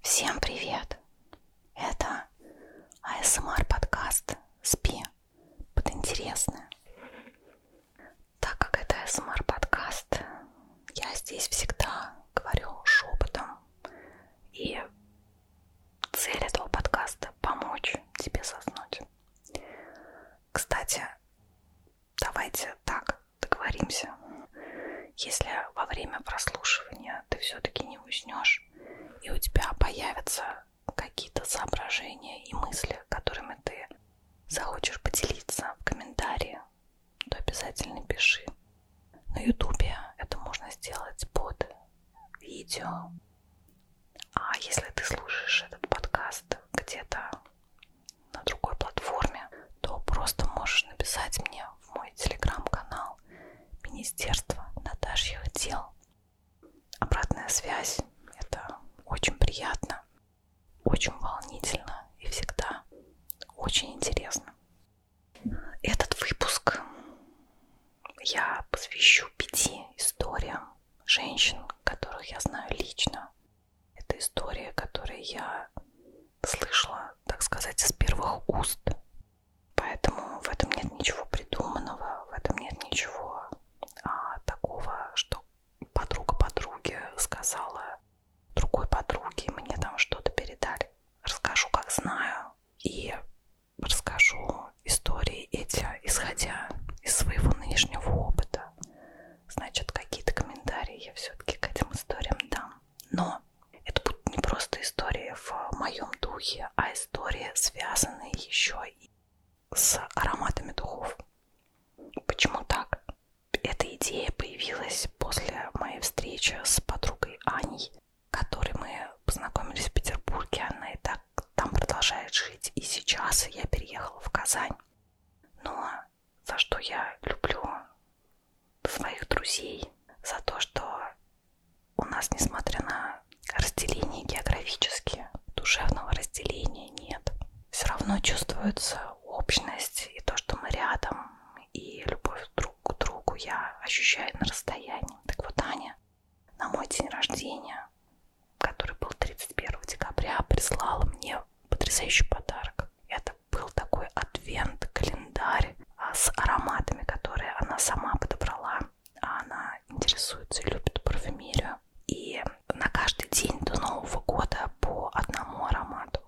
Всем привет! Это АСМР подкаст «Спи под интересное». Так как это АСМР подкаст, я здесь всегда говорю шепотом. И цель этого подкаста — помочь тебе соснуть. Кстати, давайте так договоримся – если во время прослушивания ты все-таки не уснешь, и у тебя появятся какие-то соображения и мысли, которыми ты захочешь поделиться в комментарии, то обязательно пиши. На ютубе это можно сделать под видео. А если ты слушаешь этот подкаст где-то на другой платформе, то просто можешь написать мне в мой телеграм-канал канал Министерства Наташьих дел. Обратная связь – это очень приятно, очень волнительно и всегда очень интересно. Этот выпуск я посвящу пяти историям женщин, которых я знаю лично. Это истории, которые я слышала, так сказать, из первых уст. Поэтому в этом нет ничего придуманного, в этом нет ничего а, такого, что подруга подруге сказала другой подруге, мне там что-то передали. Расскажу, как знаю, и расскажу истории эти, исходя из своего нынешнего опыта. Значит, какие-то комментарии я все-таки к этим историям дам. Но это будут не просто истории в э, моем духе, а истории, связанные еще и с ароматами духов. Почему так? Эта идея появилась после моей встречи с подругой Аней, которой мы познакомились в Петербурге. Она и так там продолжает жить. И сейчас я переехала в Казань. Но за что я люблю своих друзей за то, что у нас, несмотря на разделение географические, душевного разделения нет. Все равно чувствуется общность и то, что мы рядом, и любовь друг к другу я ощущаю на расстоянии. Так вот, Аня на мой день рождения, который был 31 декабря, прислала мне потрясающий подарок. Это это был такой адвент-календарь а, с ароматами, которые она сама подобрала. А она интересуется и любит парфюмерию. И на каждый день до Нового года по одному аромату.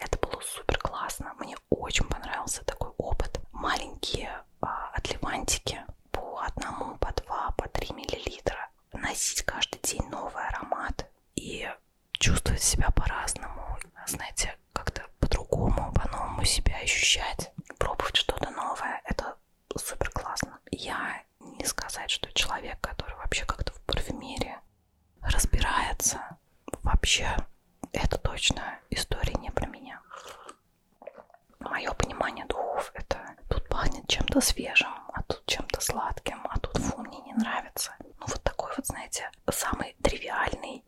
Это было супер классно. Мне очень понравился такой опыт. Маленькие а, отливантики по одному, по два, по три миллилитра. Носить каждый день новый аромат и чувствовать себя по-разному. Знаете, как-то по-другому, по-новому себя ощущать, пробовать что-то новое. Это супер классно. Я не сказать, что человек, который вообще как-то в парфюмерии разбирается, вообще это точно история не про меня. Мое понимание духов это тут пахнет чем-то свежим, а тут чем-то сладким, а тут фу, мне не нравится. Ну вот такой вот, знаете, самый тривиальный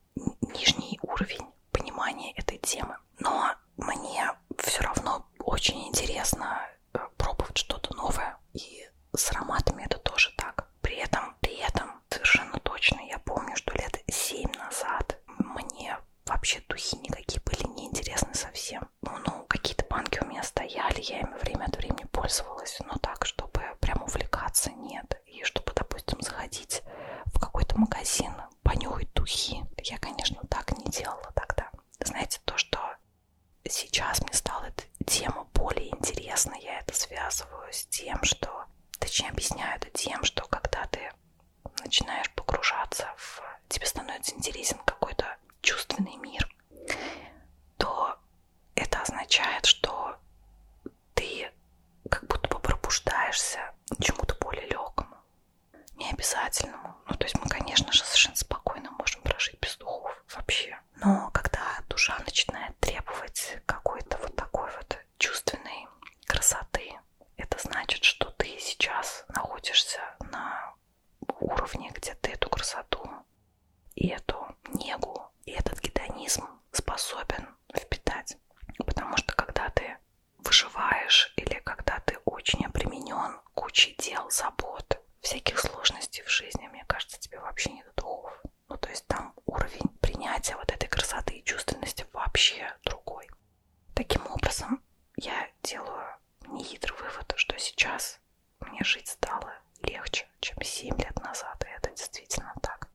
нижний уровень понимания этой темы. Но мне все равно очень интересно э, пробовать что-то новое. И с ароматами это тоже так. При этом, при этом, совершенно точно, я помню, что лет 7 назад мне вообще духи никакие были неинтересны совсем. Ну, ну какие-то банки у меня стояли, я ими время от времени пользовалась, но так, чтобы прям увлекаться, нет и чтобы, допустим, заходить в какой-то магазин, понюхать духи. Я, конечно, так не делала тогда. Знаете, то, что сейчас мне стала эта тема более интересной, я это связываю с тем, что, точнее, объясняю это тем, что когда ты начинаешь погружаться в... тебе становится интересен какой-то чувственный мир, то это означает, что ты как будто бы пробуждаешься к чему-то более легкому, не обязательному. Ну, то есть мы, конечно же, совершенно спокойно можем прожить без духов вообще. Но когда душа начинает требовать какой-то вот такой вот чувственной красоты, это значит, что ты сейчас находишься на уровне, где ты эту красоту и эту негу, и этот гедонизм способен впитать. Потому что когда ты выживаешь или когда ты очень обременен кучей дел, забот, всяких сложностей в жизни, мне кажется, тебе вообще не до духов. Ну, то есть там уровень принятия вот этой красоты и чувственности вообще другой. Таким образом, я делаю нехитрый вывод, что сейчас мне жить стало легче, чем 7 лет назад, и это действительно так.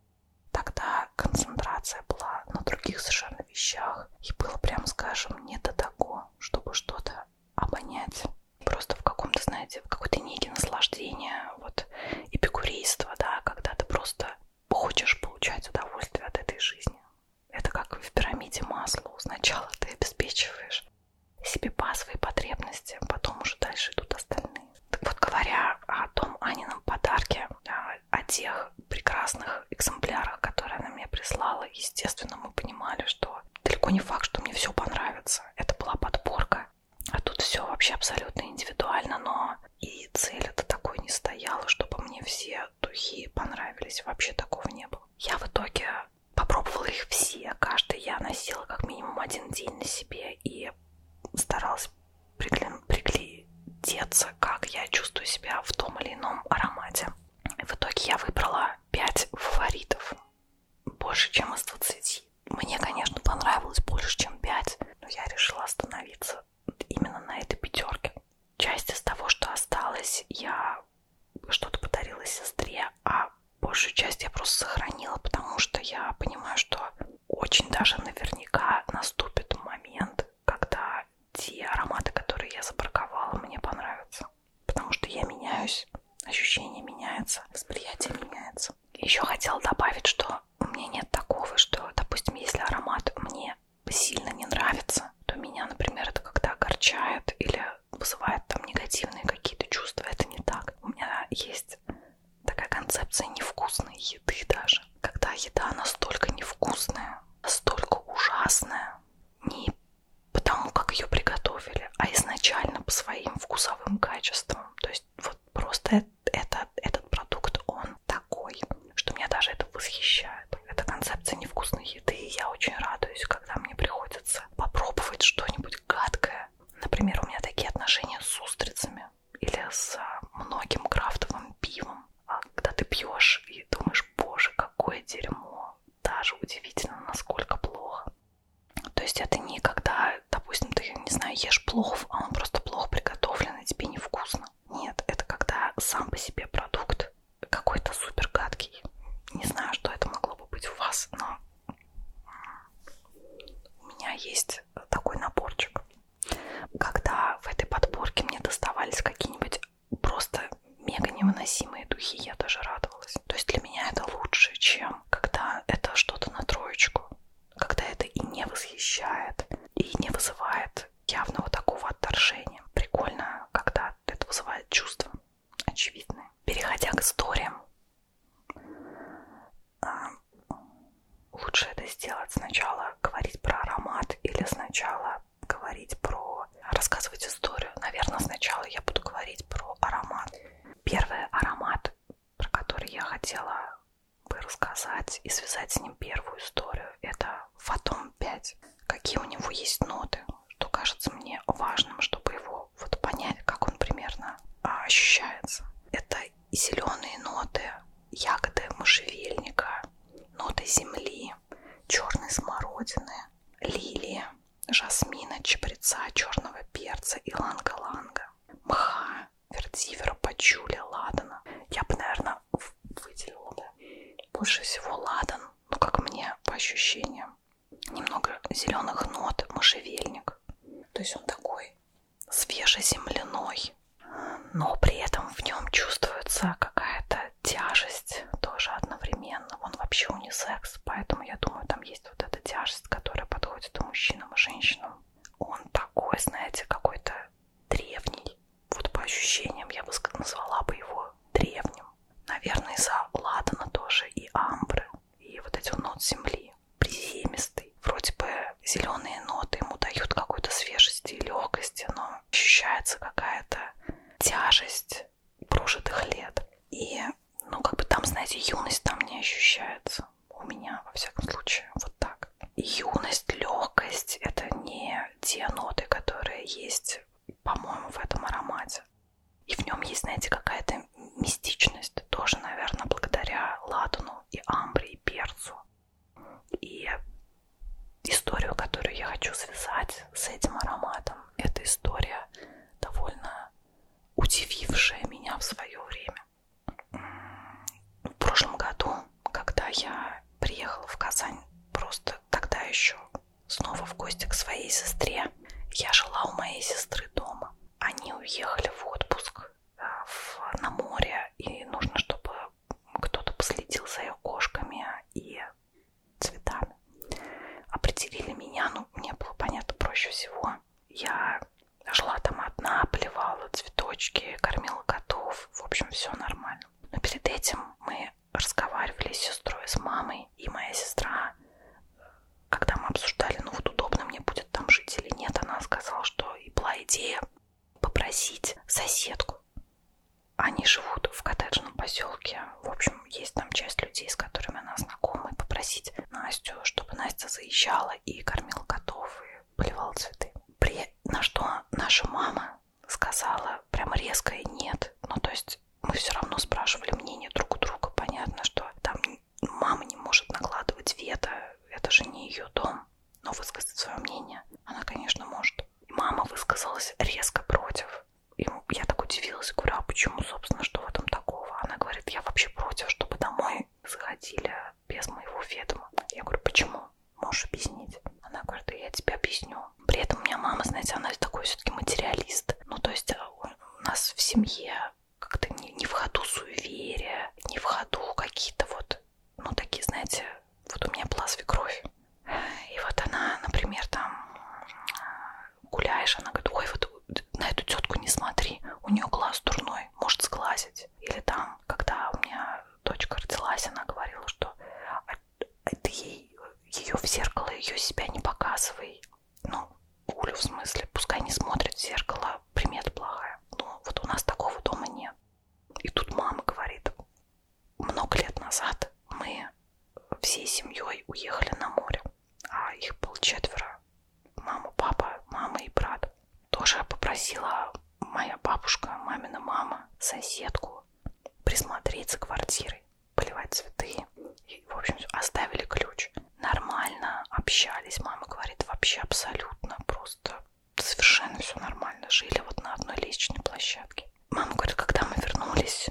Тогда концентрация была на других совершенно вещах, и было, прям скажем, не до того, чтобы что-то обонять. Просто в каком-то, знаете, в какой-то некий наслаждение, вот эпикурейство, да, когда ты просто хочешь получать удовольствие от этой жизни. Это как в пирамиде масла. Сначала ты обеспечиваешь себе базовые потребности, потом уже дальше идут остальные. Так вот, говоря о том Анином подарке, а, о тех прекрасных экземплярах, которые она мне прислала, естественно, мы понимали, что далеко не факт, что мне все понравится. Это была подборка. А тут все вообще абсолютно индивидуально, но и цель это такой не стояла, чтобы мне все духи понравились. Вообще такого не было. Я в итоге попробовала их все. Каждый я носила как минимум один день на себе и старалась приглядеться, как я чувствую себя в том или ином аромате. В итоге я выбрала 5 фаворитов, больше, чем из 20. Мне, конечно, понравилось больше, чем 5, но я решила остановиться именно на этой пятерке. Часть из того, что осталось, я что-то подарила сестре, а большую часть я просто сохранила, потому что я понимаю, что очень даже наверняка наступит момент, когда те ароматы, которые я запарковала, мне понравятся. Потому что я меняюсь, ощущение меняется, восприятие меняется. Еще хотела добавить, что у меня нет такого, что, допустим, если аромат мне сильно не нравится, то меня, например, это как-то огорчает или вызывает там негативные какие-то чувства. Это не так. У меня есть такая концепция невкусной еды даже. Когда еда настолько невкусная, настолько ужасная, не потому как ее приготовили, а изначально по своим вкусовым качествам. То есть вот просто это, этот продукт, он такой, что меня даже это восхищает. Это концепция невкусной еды, и я очень радуюсь, когда мне приходится попробовать что-нибудь гадкое. Например, у меня такие отношения с устрицами винами или с многим крафтовым пивом, а когда ты пьешь и думаешь, боже, какое дерьмо, даже удивительно, насколько плохо. То есть это не когда, допустим, ты, не знаю, ешь плов, а он просто плохо приготовлен и тебе невкусно. Нет, это когда сам по себе продукт какой-то супер гадкий. Не знаю, что это могло бы быть у вас, но у меня есть такой наборчик когда в этой подборке мне доставались какие-нибудь просто мега невыносимые духи, я даже радовалась. То есть для меня это лучше, чем когда это что-то на троечку, когда это и не восхищает, и не вызывает явного такого отторжения. Прикольно, когда это вызывает чувства очевидные. Переходя к историям, а, лучше это сделать сначала говорить про аромат или сначала говорить про рассказывать историю. Наверное, сначала я буду говорить про аромат. Первый аромат, про который я хотела бы рассказать и связать с ним первую историю, это Фотом 5. Какие у него есть ноты, что кажется мне важным, чтобы его вот понять, как он примерно а, ощущается. Это и зеленые ноты, ягоды можжевельника, ноты земли, черной смородины, лилии, жасмина, чабреца, черного перца и ланга-ланга, мха, вертивера, пачули, ладана. Я бы, наверное, выделила да? больше всего ладан, ну как мне по ощущениям. Немного зеленых нот, можжевельник. То есть он такой свежеземляной, но при этом в нем чувствуется какая-то тяжесть тоже одновременно. Он вообще унисекс, поэтому я думаю, там есть вот эта тяжесть, которая подходит и мужчинам, и женщинам. Он такой, знаете, какой-то древний. Вот по ощущениям я бы назвала бы его древним. Наверное, из-за ладана тоже и амбры, и вот эти нот земли, приземистый. Вроде бы зеленые ноты ему дают какой-то свежести и легкости, но ощущается какая-то тяжесть прожитых лет. И, ну, как бы там, знаете, юность там не ощущается. У меня, во всяком случае, вот так. Юность, легкость — это не те ноты, которые есть, по-моему, в этом аромате. И в нем есть, знаете, какая-то мистичность, тоже, наверное, благодаря ладану и амбре и перцу. И историю, которую я хочу связать с этим ароматом, это история довольно удивившая меня в свое время. В прошлом году, когда я приехала в Казань, просто тогда еще снова в гости к своей сестре, я жила у моей сестры дома. Они уехали в отпуск э, в, на море, и нужно, чтобы кто-то последил за ее кошками и цветами. Определили меня, ну, мне было понятно проще всего. Я жила там одна, поливала цветочки, кормила котов, в общем, все нормально. Но перед этим мы разговаривали с сестрой, с мамой, и моя сестра, когда мы обсуждали, ну вот удобно мне будет там жить или нет, она сказала, что и была идея попросить соседку. Они живут в коттеджном поселке. В общем, есть там часть людей, с которыми она знакома. И попросить Настю, чтобы Настя заезжала и кормила котов, и поливала цветы. При... На что наша мама сказала прям резко и нет. Ну, то есть мы все равно спрашивали мнение друг у друга. Понятно, что там мама не может накладывать вето. Это же не ее дом но высказать свое мнение она, конечно, может. И мама высказалась резко против. И я так удивилась, говорю, а почему, собственно, что в этом такого? Она говорит, я вообще против, чтобы домой заходили без моего ведома. Я говорю, почему? Можешь объяснить? Она говорит, да я тебе объясню. При этом у меня мама, знаете, она такой все-таки материалист. Ну, то есть э, у нас в семье как-то не, не в ходу суеверия, не в ходу какие-то вот ну, такие, знаете, вот у меня была свекровь. И вот она, например, там э, гуляешь, она говорит, ой, вот на эту тетку не смотри, у нее глаз дурной, может сглазить. Или там, когда у меня дочка родилась, она говорила, что «А, а ты ей, ее в зеркало, ее себя не показывай. Ну, Улю в смысле, пускай не смотрит в зеркало, примет плохая. Но ну, вот у нас такого дома нет. И тут мама говорит, много лет назад мы всей семьей уехали на море, а их было четверо. Мама, папа, мама и брат. Тоже попросила моя бабушка, мамина мама, соседку присмотреть за квартирой, поливать цветы. И, в общем, оставили ключ. Нормально общались. Мама говорит, вообще абсолютно просто совершенно все нормально, жили вот на одной лестничной площадке. Мама говорит, когда мы вернулись,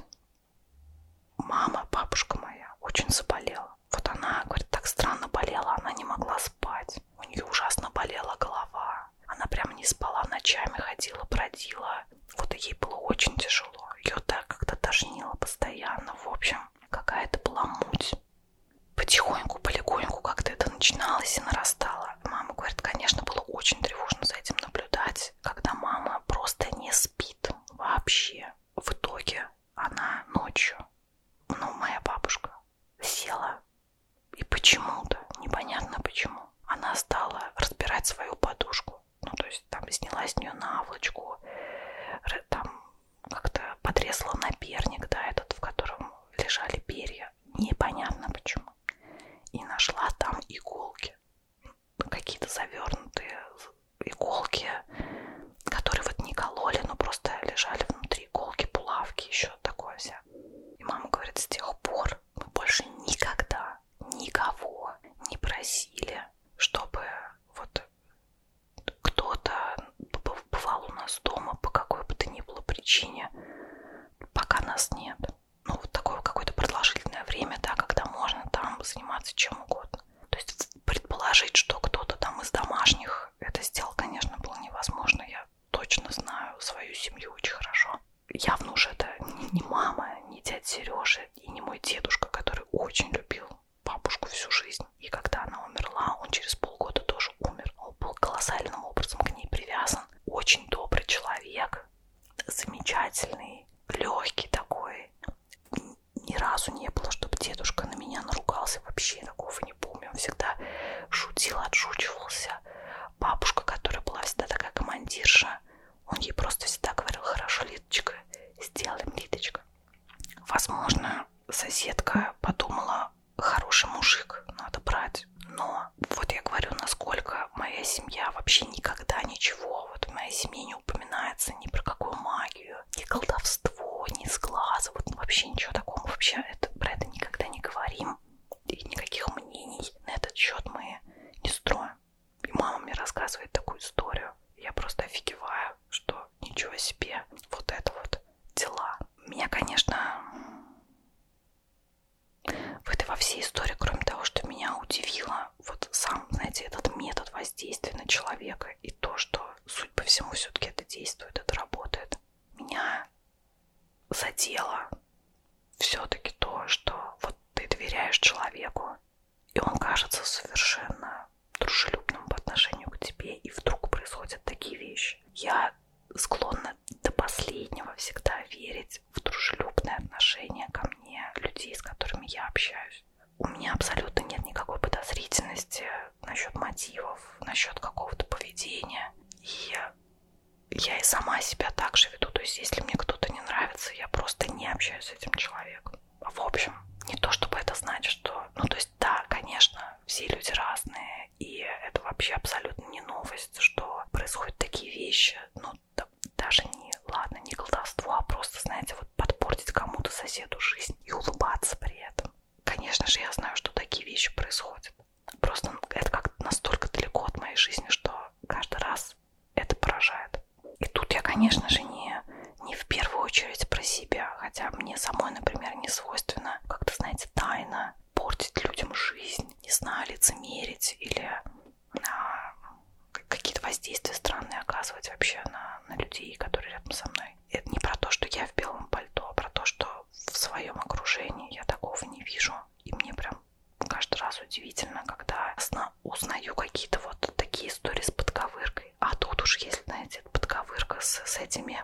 мама, бабушка моя, очень заболела. Вот она, говорит, так странно болела, она не могла спать. У нее ужасно болела голова. Она прям не спала, ночами ходила, бродила. Вот ей было очень тяжело. Ее так как-то тошнило постоянно. В общем, какая-то была муть. Потихоньку, полегоньку как-то это начиналось и нарастало дело. Мама говорит, конечно, было очень тревожно за этим наблюдать, когда мама просто не спит вообще. В итоге она ночью, ну, моя бабушка, села и почему-то, непонятно почему, она стала разбирать свою подушку. Ну, то есть там сняла с нее наволочку, там как-то подрезала наперник, да, этот, в котором лежали перья, непонятно почему. И нашла там иголки, какие-то завернутые иголки, которые вот не кололи, но просто лежали внутри иголки, булавки, еще такое вся. И мама говорит, с тех пор мы больше никогда никого не просили, чтобы вот кто-то бывал у нас дома по какой бы то ни было причине, пока нас нет. Ну, вот такое какое-то продолжительное время, да, когда можно там заниматься чем угодно. То есть предположить, что кто-то там из домашних это сделал, конечно, было невозможно. Я точно знаю свою семью очень хорошо. Явно уже это не мама, не дядя Сережа и не мой дедушка, который очень любил бабушку всю жизнь. И когда она умерла, он через полгода тоже умер. Он был колоссальным образом к ней привязан. Очень добрый человек, замечательный, легкий такой. Ни разу не было, чтобы дедушка на меня наругался. Вообще такого не помню. Он всегда шутил, отшучивался. Бабушка, которая была всегда такая командирша, он ей просто всегда говорил, хорошо, Литочка, сделаем, Литочка. Возможно, соседка подумала, хороший мужик, надо брать. Но вот я говорю, насколько моя семья вообще никогда ничего, вот в моей семье не упоминается ни про какую магию, ни колдовство, ни сглаза, вот ну, вообще ничего такого. Вообще это, про это никогда не говорим. И никаких мнений на этот счет мы не строим. И мама мне рассказывает такую историю. Я просто офигеваю, что ничего себе, вот это вот дела. Меня, конечно, в этой во всей истории, кроме того, что меня удивило, вот сам, знаете, этот метод воздействия на человека и то, что, суть по всему, все-таки это действует, это работает, меня задело все-таки то, что вот ты доверяешь человеку, и он кажется совершенно дружелюбным по отношению к тебе, и вдруг происходят такие вещи. Я склонна нужно до последнего всегда верить в дружелюбное отношение ко мне людей, с которыми я общаюсь. У меня абсолютно нет никакой подозрительности насчет мотивов, насчет какого-то поведения. И я и сама себя так же веду. То есть, если мне кто-то не нравится, я просто не общаюсь с этим человеком. В общем, не то чтобы это значит, что... Ну, то есть, да, конечно, все люди разные, и это вообще абсолютно не новость, что происходят такие вещи. Ну, да, даже не, ладно, не колдовство, а просто, знаете, вот подпортить кому-то соседу жизнь и улыбаться при этом. Конечно же, я знаю, что такие вещи происходят. Просто это как настолько далеко от моей жизни, что каждый раз это поражает. И тут я, конечно же, не, не в первую очередь про себя, хотя мне самой, например, не свойственно как-то, знаете, тайно портить людям жизнь, не знаю, лицемерить или на какие-то воздействия странные оказывать вообще на, на людей, которые рядом со мной. Это не про то, что я в белом пальто, а про то, что в своем окружении я такого не вижу. И мне прям каждый раз удивительно, когда узнаю какие-то вот такие истории с подковыркой. А тут уж, если, знаете, подковырка с, с этими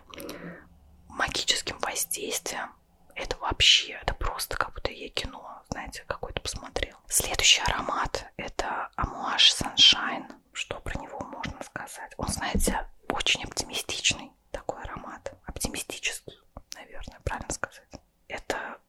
магическим воздействием, это вообще, это просто как будто я кино, знаете, какое-то посмотрел. Следующий аромат это Amouage Sunshine. Что про него можно сказать? Он, знаете, очень оптимистичный такой аромат. Оптимистический, наверное, правильно сказать. Это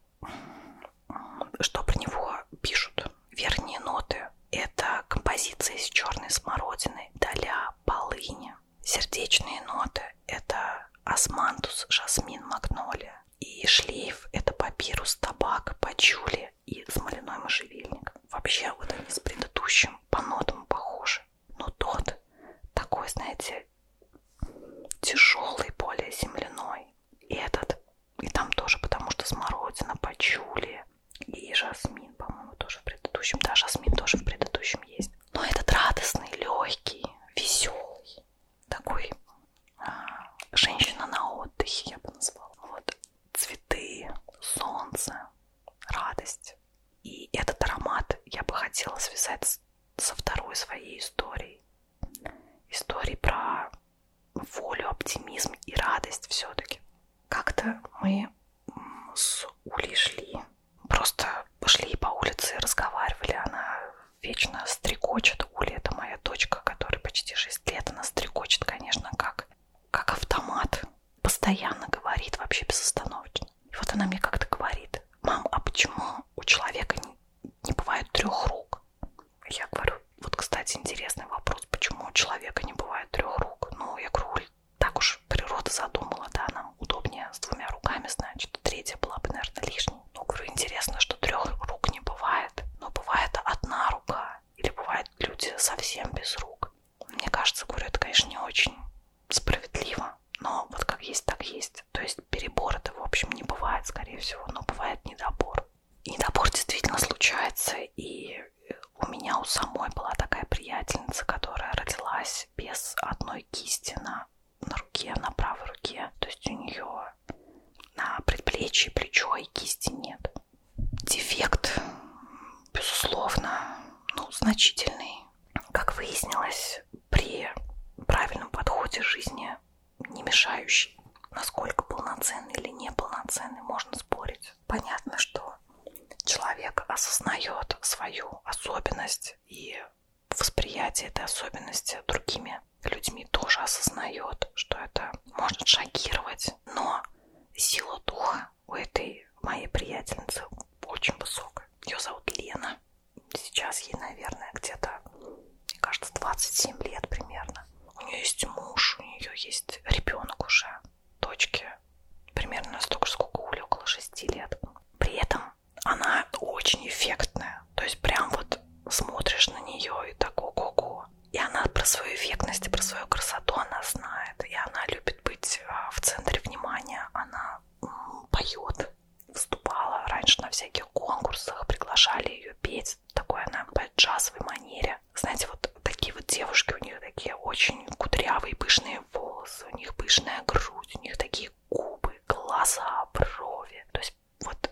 что про него пишут? Верхние ноты. Это композиция из черной смородины, доля полыни, Сердечные ноты – это османтус, жасмин, магнолия. И шлейф – это папирус, табак, пачули и смоляной можжевельник. Вообще, вот они с предыдущим по нотам похожи. Но тот такой, знаете, тяжелый, более земляной. И этот, и там тоже, потому что смородина, пачули и жасмин, по-моему, тоже в предыдущем. Да, жасмин тоже в предыдущем есть. Но этот радостный, легкий, веселый, такой а, женщина на отдыхе, я бы назвала. Вот цветы, солнце, радость. И этот аромат я бы хотела связать со второй своей историей. Историей про волю, оптимизм и радость все-таки. Как-то мы с Улей шли просто пошли по улице и разговаривали. Она вечно стрекочет. Уля, это моя дочка, которой почти 6 лет. Она стрекочет, конечно, как, как автомат. Постоянно говорит вообще безостановочно. И вот она мне как-то говорит, мам, а почему у человека не, не бывает трех рук? Я говорю, вот, кстати, интересный вопрос, почему у человека не бывает трех рук? Ну, я говорю, Уль, так уж природа задумала, да, нам удобнее с двумя руками, значит, третья была бы, наверное, лишней. Ну, говорю, интересно, что трех рук не бывает, но бывает одна рука, или бывают люди совсем без рук. Мне кажется, говорю, это, конечно, не очень справедливо, но вот как есть, так есть. То есть перебор это, в общем, не бывает, скорее всего, но бывает недобор. И недобор действительно случается, и у меня у самой была такая приятельница, которая родилась без одной кисти на на руке, на правой руке. То есть у нее на предплечье, плечо и кисти нет. Дефект, безусловно, ну, значительный. Как выяснилось, при правильном подходе жизни, не мешающий, насколько полноценный или неполноценный, можно спорить. Понятно, что человек осознает свою особенность и восприятие этой особенности другими людьми тоже осознает, что это может шокировать, но сила духа у этой моей приятельницы очень высокая. Ее зовут Лена. Сейчас ей, наверное, где-то, мне кажется, 27 лет примерно. У нее есть муж, у нее есть ребенок уже, дочки примерно столько же, сколько Ули, около 6 лет. При этом она очень эффектная. То есть прям вот смотришь на нее и так ого-го. И она про свою эффектность и про свою красоту она знает. И она любит быть а, в центре внимания. Она поет, выступала раньше на всяких конкурсах, приглашали ее петь. Такой она по джазовой манере. Знаете, вот такие вот девушки, у них такие очень кудрявые, пышные волосы, у них пышная грудь, у них такие губы, глаза, брови. То есть вот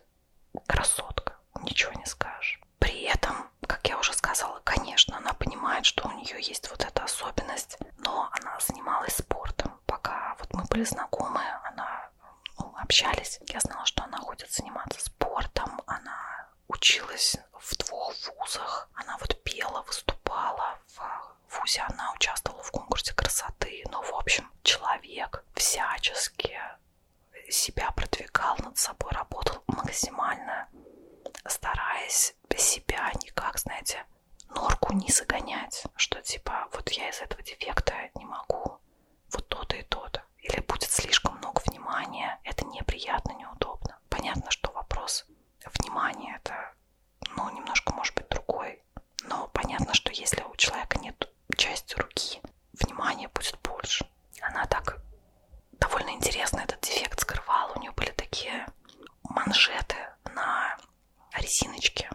красотка, ничего не скажешь. При этом, как я уже сказала, конечно, она понимает, что у нее есть вот эта особенность, но она занималась спортом. Пока вот мы были знакомы, она ну, общались. Я знала, что она хочет заниматься спортом, она училась в двух вузах, она вот пела, выступала в вузе она участвовала в конкурсе красоты. Ну, в общем, человек всячески себя продвигал, над собой работал максимально, стараясь себя никак, знаете, норку не загонять, что типа вот я из этого дефекта не могу, вот то-то и то-то. Или будет слишком много внимания, это неприятно, неудобно. Понятно, что вопрос внимания это, ну, немножко может быть другой, но понятно, что если у человека нет части руки, внимания будет больше. Она так довольно интересно этот дефект скрывала. У нее были такие манжеты на резиночке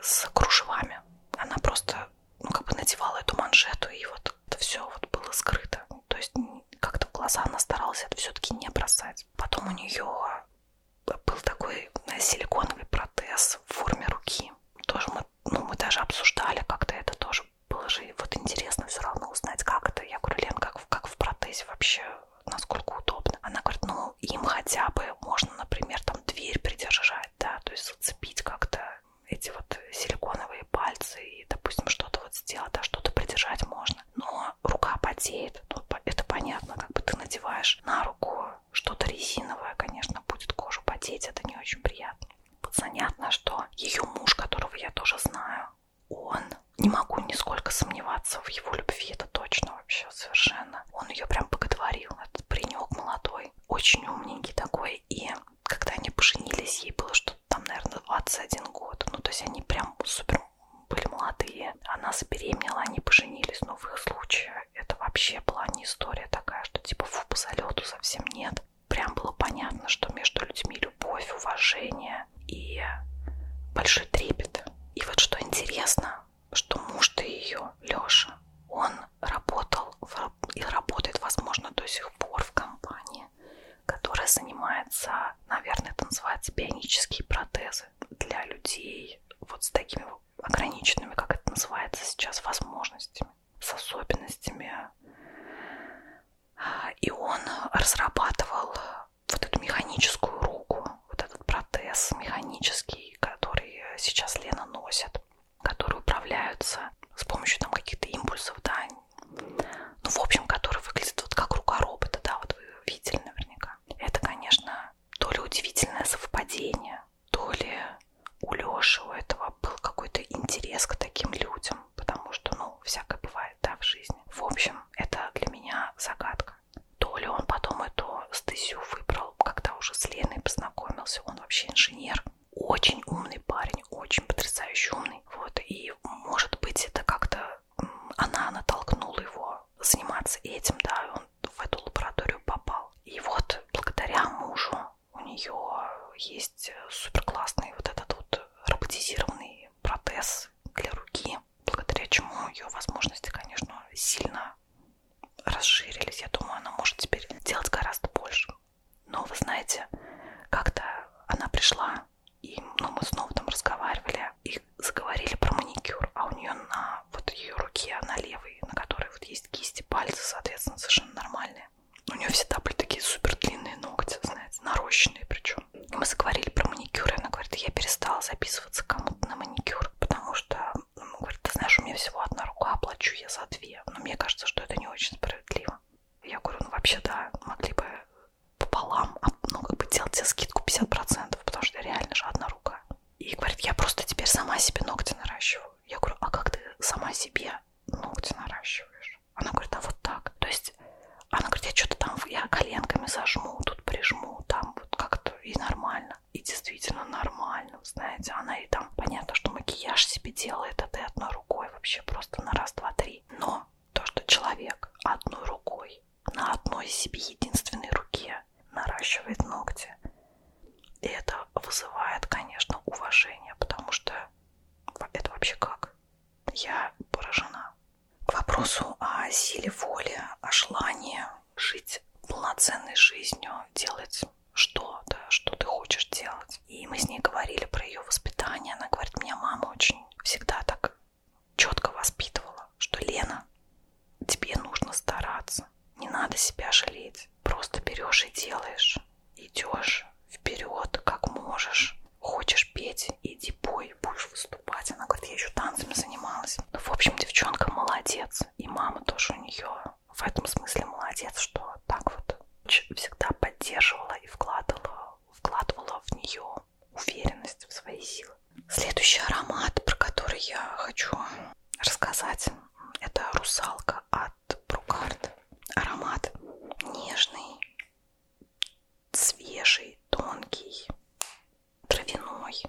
с кружевами. Она просто, ну, как бы надевала эту манжету, и вот это все вот было скрыто. То есть как-то в глаза она старалась это все-таки не бросать. Потом у нее был такой силиконовый протез в форме руки. Тоже мы, ну, мы даже обсуждали как-то это тоже. Было же вот интересно все равно узнать, как это. Я говорю, Лен, как, как в протезе вообще, насколько удобно. Она говорит, ну, им хотя бы можно, например, там дверь придержать, да, то есть зацепить как-то эти вот силиконовые пальцы и, допустим, что-то вот сделать, да, что-то придержать можно. Но рука потеет, ну, это понятно, как бы ты надеваешь на руку что-то резиновое, конечно, будет кожу потеть, это не очень приятно. Вот занятно, что ее муж, которого я тоже знаю, он, не могу нисколько сомневаться в его любви, это точно вообще совершенно. Он ее прям боготворил, этот паренек молодой, очень умненький такой, и когда они поженились, ей было что-то там, наверное, 21 год, ну то есть они прям супер были молодые, она забеременела, они поженились, но в их случае это вообще была не история такая, что типа фу, по залету совсем нет. Прям было понятно, что между людьми любовь, уважение и большой трепет. И вот что интересно, что муж-то ее, Леша, он работал в, и работает, возможно, до сих пор в компании, которая занимается, наверное, это называется бионические протезы для людей вот с такими ограниченными, как это называется сейчас, возможностями, с особенностями. И он разрабатывал вот эту механическую руку, вот этот протез механический, который сейчас Лена носит, который управляются с помощью там каких-то импульсов, да, ну, в общем, который выглядит вот как рука робота, да, вот вы видели наверняка. Это, конечно, то ли удивительное совпадение, то ли у Леши у этого был какой-то интерес к таким людям, потому что, ну, всякое бывает, да, в жизни. В общем, это для меня загадка. То ли он потом эту стезю выбрал, когда уже с Леной познакомился, он вообще инженер. Очень умный парень, очень потрясающе умный. Вот, и может быть это как-то она натолкнула его заниматься этим, да, он он в эту лабораторию попал. И вот благодаря мужу у нее есть э, супер классный вот этот вот роботизированный протез для руки, благодаря чему ее возможности, конечно, сильно расширились. Я думаю, она может теперь делать гораздо больше. Но вы знаете, как-то она пришла, и ну, мы снова там разговаривали и заговорили про маникюр, а у нее на вот ее руке, она левой, на которой вот есть кисти, пальцы, соответственно, совершенно нормальные. У нее всегда были такие супер длинные ногти, знаете, нарощенные причем. И мы заговорили про маникюр, и она говорит, я перестала записываться кому-то на маникюр, потому что, ну, говорит, ты знаешь, у меня всего одна рука, оплачу я за две. Но мне кажется, что это не очень справедливо. Я говорю, ну вообще да, могли бы пополам, а, ну как бы делать тебе скидку 50%, потому что реально же одна рука. И говорит, я просто теперь сама себе ногти наращиваю. Я говорю, а как ты сама себе ногти наращиваешь? Она говорит, а вот так. То есть она говорит, я что-то там, я коленками зажму, тут прижму, там вот как-то и нормально. И действительно нормально, знаете. Она и там, понятно, что макияж себе делает, это а и одной рукой вообще просто на раз, два, три. Но то, что человек одной рукой, на одной себе единственной руке наращивает ногти. И это вызывает, конечно, уважение, потому что это вообще как? Я поражена. К вопросу о силе воли, о желании жить полноценной жизнью, делать что-то, что ты хочешь делать. И мы с ней говорили про ее воспитание. Она говорит, меня мама очень всегда так четко воспитывала, что Лена, тебе нужно стараться. Не надо себя жалеть. Просто берешь и делаешь. Идешь вперед, как можешь. Хочешь петь, иди пой, будешь выступать. Она говорит, я еще танцами занималась. Ну, в общем, девчонка молодец. И мама тоже у нее в этом смысле молодец, что так вот всегда поддерживала и вкладывала, вкладывала в нее уверенность в свои силы. Следующий аромат, про который я хочу рассказать, это русалка от Брукард. Аромат нежный, свежий, тонкий, травяной.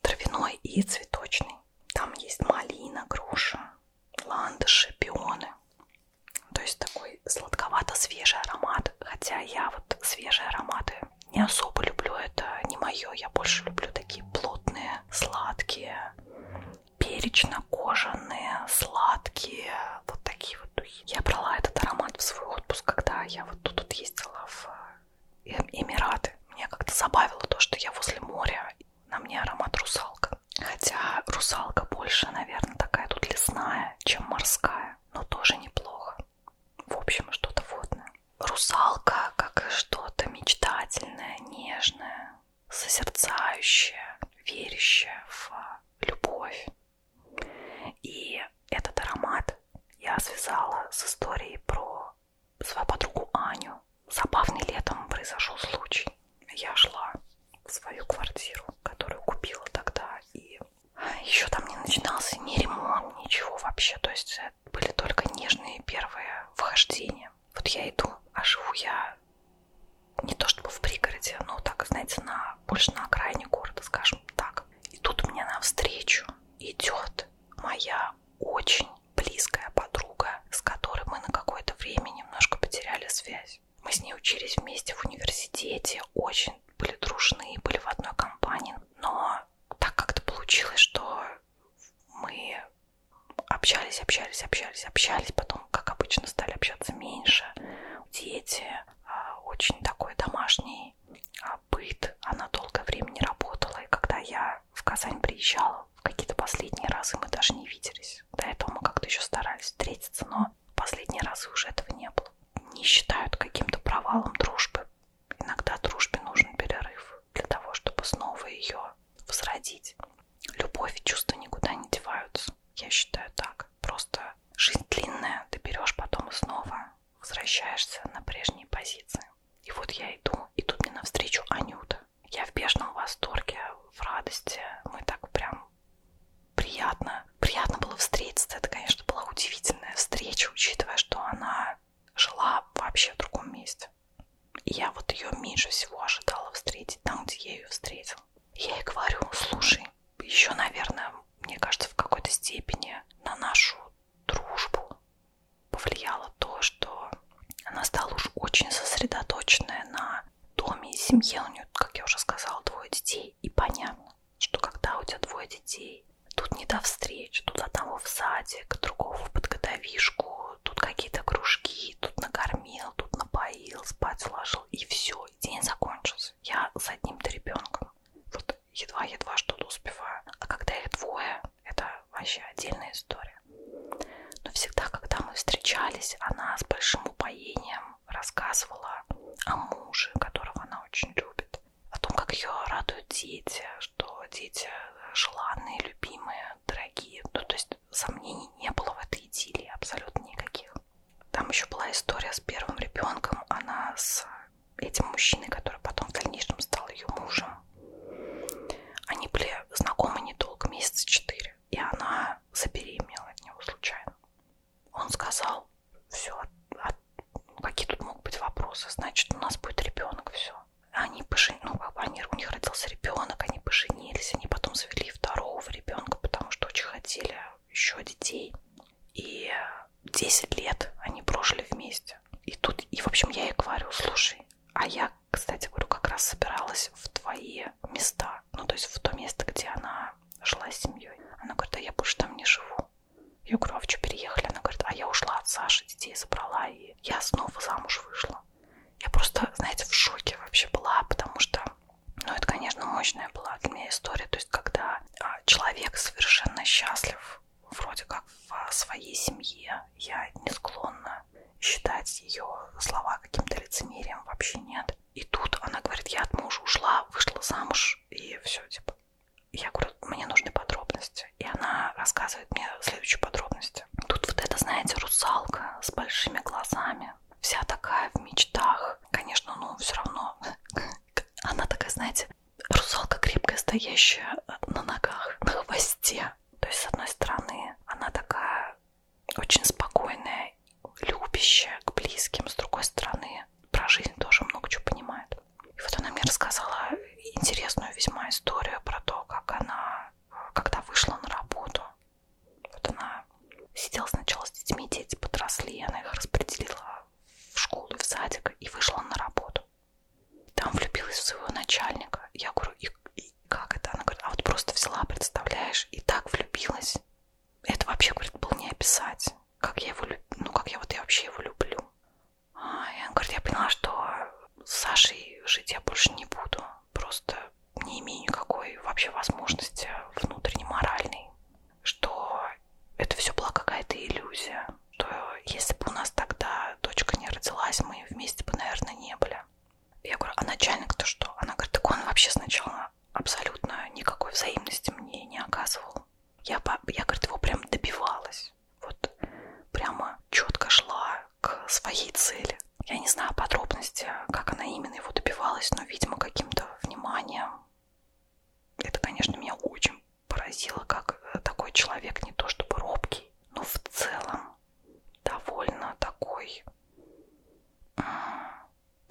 Травяной и цветочный. Там есть малина, груша, ландыши, пионы. То есть такой сладковато-свежий аромат. Хотя я вот свежие ароматы не особо люблю, это не мое. Я больше люблю такие плотные, сладкие, перечно-кожаные, сладкие, вот такие вот духи. Я брала этот аромат в свой отпуск, когда я вот тут вот ездила в э, эм, Эмираты. Меня как-то забавило то, что я возле моря, на мне аромат русалка. Хотя русалка больше, наверное, такая тут лесная, чем морская, но тоже неплохо. В общем, что-то водное русалка, как что-то мечтательное, нежное, созерцающее, верящее в любовь. И этот аромат я связала с историей про свою подругу Аню. Забавный летом произошел случай. Я шла в свою квартиру, которую купила тогда, и еще там не начинался ни ремонт, ничего вообще. То есть же были только нежные первые вхождения. Вот я иду, а живу я не то чтобы в пригороде, но так, знаете, на, больше на окраине города, скажем так. И тут мне навстречу идет моя очень близкая подруга, с которой мы на какое-то время немножко потеряли связь. Мы с ней учились вместе в университете, очень были дружны, были в одной компании, но так как-то получилось, что мы общались, общались, общались, общались, потом, как обычно, стали общаться меньше. Дети, а, очень такой домашний а, быт, она долгое время не работала, и когда я в Казань приезжала в какие-то последние разы, мы даже не виделись. До этого мы как-то еще старались встретиться, но последние разы уже этого не было. Не считают каким-то провалом дружбы Иногда дружбе нужен перерыв для того, чтобы снова ее возродить. Любовь и чувства никуда не деваются. Я считаю так. Просто жизнь длинная, ты берешь потом и снова возвращаешься на прежние позиции. И вот я иду, и тут мне навстречу Анюта. Я в бежном восторге, в радости. Мы так прям приятно. Приятно было встретиться. Это, конечно, была удивительная встреча, учитывая, что она жила вообще в другом месте. И я вот ее меньше всего ожидала встретить там, где я ее встретила. Я ей говорю, слушай, еще, наверное, мне кажется, в какой-то степени на нашу дружбу повлияло то, что она стала уж очень сосредоточенная на доме и семье. У нее, как я уже сказала, двое детей. И понятно, что когда у тебя двое детей, Тут не до встреч, тут одного в садик, другого в подготовишку, тут какие-то кружки, тут накормил, тут напоил, спать сложил, и все, день закончился. Я с одним-то ребенком. Вот едва-едва что-то успеваю. А когда их двое, это вообще отдельная история. Но всегда, когда мы встречались, она с большим упоением рассказывала о муже, которого она очень любит о том, как ее радуют дети, что дети э, желанные, любимые, дорогие. Ну, то есть сомнений не было в этой идиллии абсолютно никаких. Там еще была история с первым ребенком. Она с э, этим мужчиной, который потом в дальнейшем стал ее мужем. Они были знакомы недолго, месяца четыре. И она забеременела от него случайно. Он сказал, все, от, от, ну, какие тут могут быть вопросы, значит, у нас будет ребенок, все они пожен... ну, они, у них родился ребенок, они поженились, они потом завели второго ребенка, потому что очень хотели еще детей. И 10 лет они прожили вместе. И тут, и в общем, я ей говорю, слушай, а я, кстати, говорю, как раз собиралась в твои места, ну, то есть в то место, где она жила с семьей. Она говорит, а я больше там не живу. Я говорю, а вы что, переехали? Она говорит, а я ушла от Саши, детей забрала и и я снова замуж вышла. Я просто, знаете, в шоке вообще была, потому что, ну, это, конечно, мощная была для меня история. То есть, когда а, человек совершенно счастлив, вроде как в своей семье, я не склонна считать ее слова каким-то лицемерием, вообще нет. И тут она говорит, я от мужа ушла, вышла замуж, и все, типа. Я говорю, мне нужны подробности. И она рассказывает мне следующие подробности. Тут вот это, знаете, русалка с большими глазами. Вся такая в мечтах. Конечно, ну, все равно. Она такая, знаете, русалка крепкая, стоящая на ногах, на хвосте. То есть, с одной стороны, она такая очень спокойная, любящая к близким. С другой стороны, про жизнь тоже много чего понимает. И вот она мне рассказала интересную весьма историю про то, как она, когда вышла на работу, вот она сидела сначала с детьми, дети подросли, она их распределила в школу и в садик и вышла на работу. Там влюбилась в своего начальника. Я говорю, и, и как это? Она говорит, а вот просто взяла, представляешь, и так влюбилась. Это вообще, говорит, было не описать. Как я его люблю, ну как я вот я вообще его люблю. И он говорит, я поняла, что с Сашей жить я больше не буду. Просто не имею никакой вообще возможности внутренней, моральной. Что это все была какая-то иллюзия. Что если бы у нас тогда дочка не родилась, мы вместе бы, наверное, не были. Я говорю, а начальник-то что? Она говорит, так он вообще сначала абсолютно никакой взаимности мне не оказывал. Я, я говорит, его прям добивалась вот прямо четко шла к своей цели. Я не знаю подробности, как она именно его добивалась, но, видимо, каким-то вниманием. Это, конечно, меня очень поразило, как э, такой человек не то чтобы робкий, но в целом довольно такой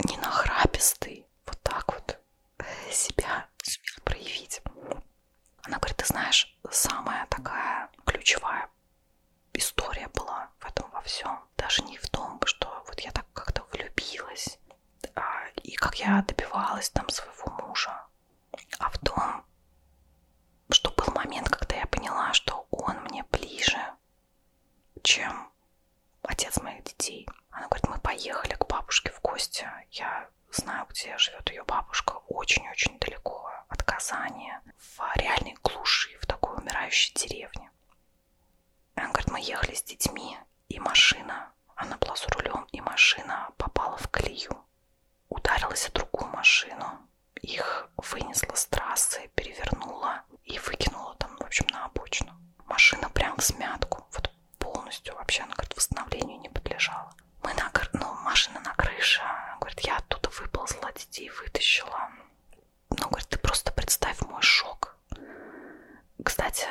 ненахрапистый, вот так вот э, себя сумел проявить. Она говорит, ты знаешь, самая такая ключевая история была в этом во всем. Даже не в том, что вот я так как-то влюбилась, а, и как я добивалась там своего мужа, а в том, что был момент, когда я поняла, что он мне ближе, чем отец моих детей. Она говорит, мы поехали к бабушке в гости, я знаю, где живет ее бабушка, очень-очень далеко от Казани, в реальной глуши, в такой умирающей деревне. И она говорит, мы ехали с детьми, и машина, она была за рулем, и машина попала в колею, ударилась о другую машину, их вынесла с трассы, перевернула и выкинула там, в общем, на обочину. Машина прям в смятку, вот полностью вообще, она, говорит, восстановлению не подлежала мы на, ну, машина на крыше. Она говорит, я оттуда выползла, детей вытащила. Ну, говорит, ты просто представь мой шок. Кстати,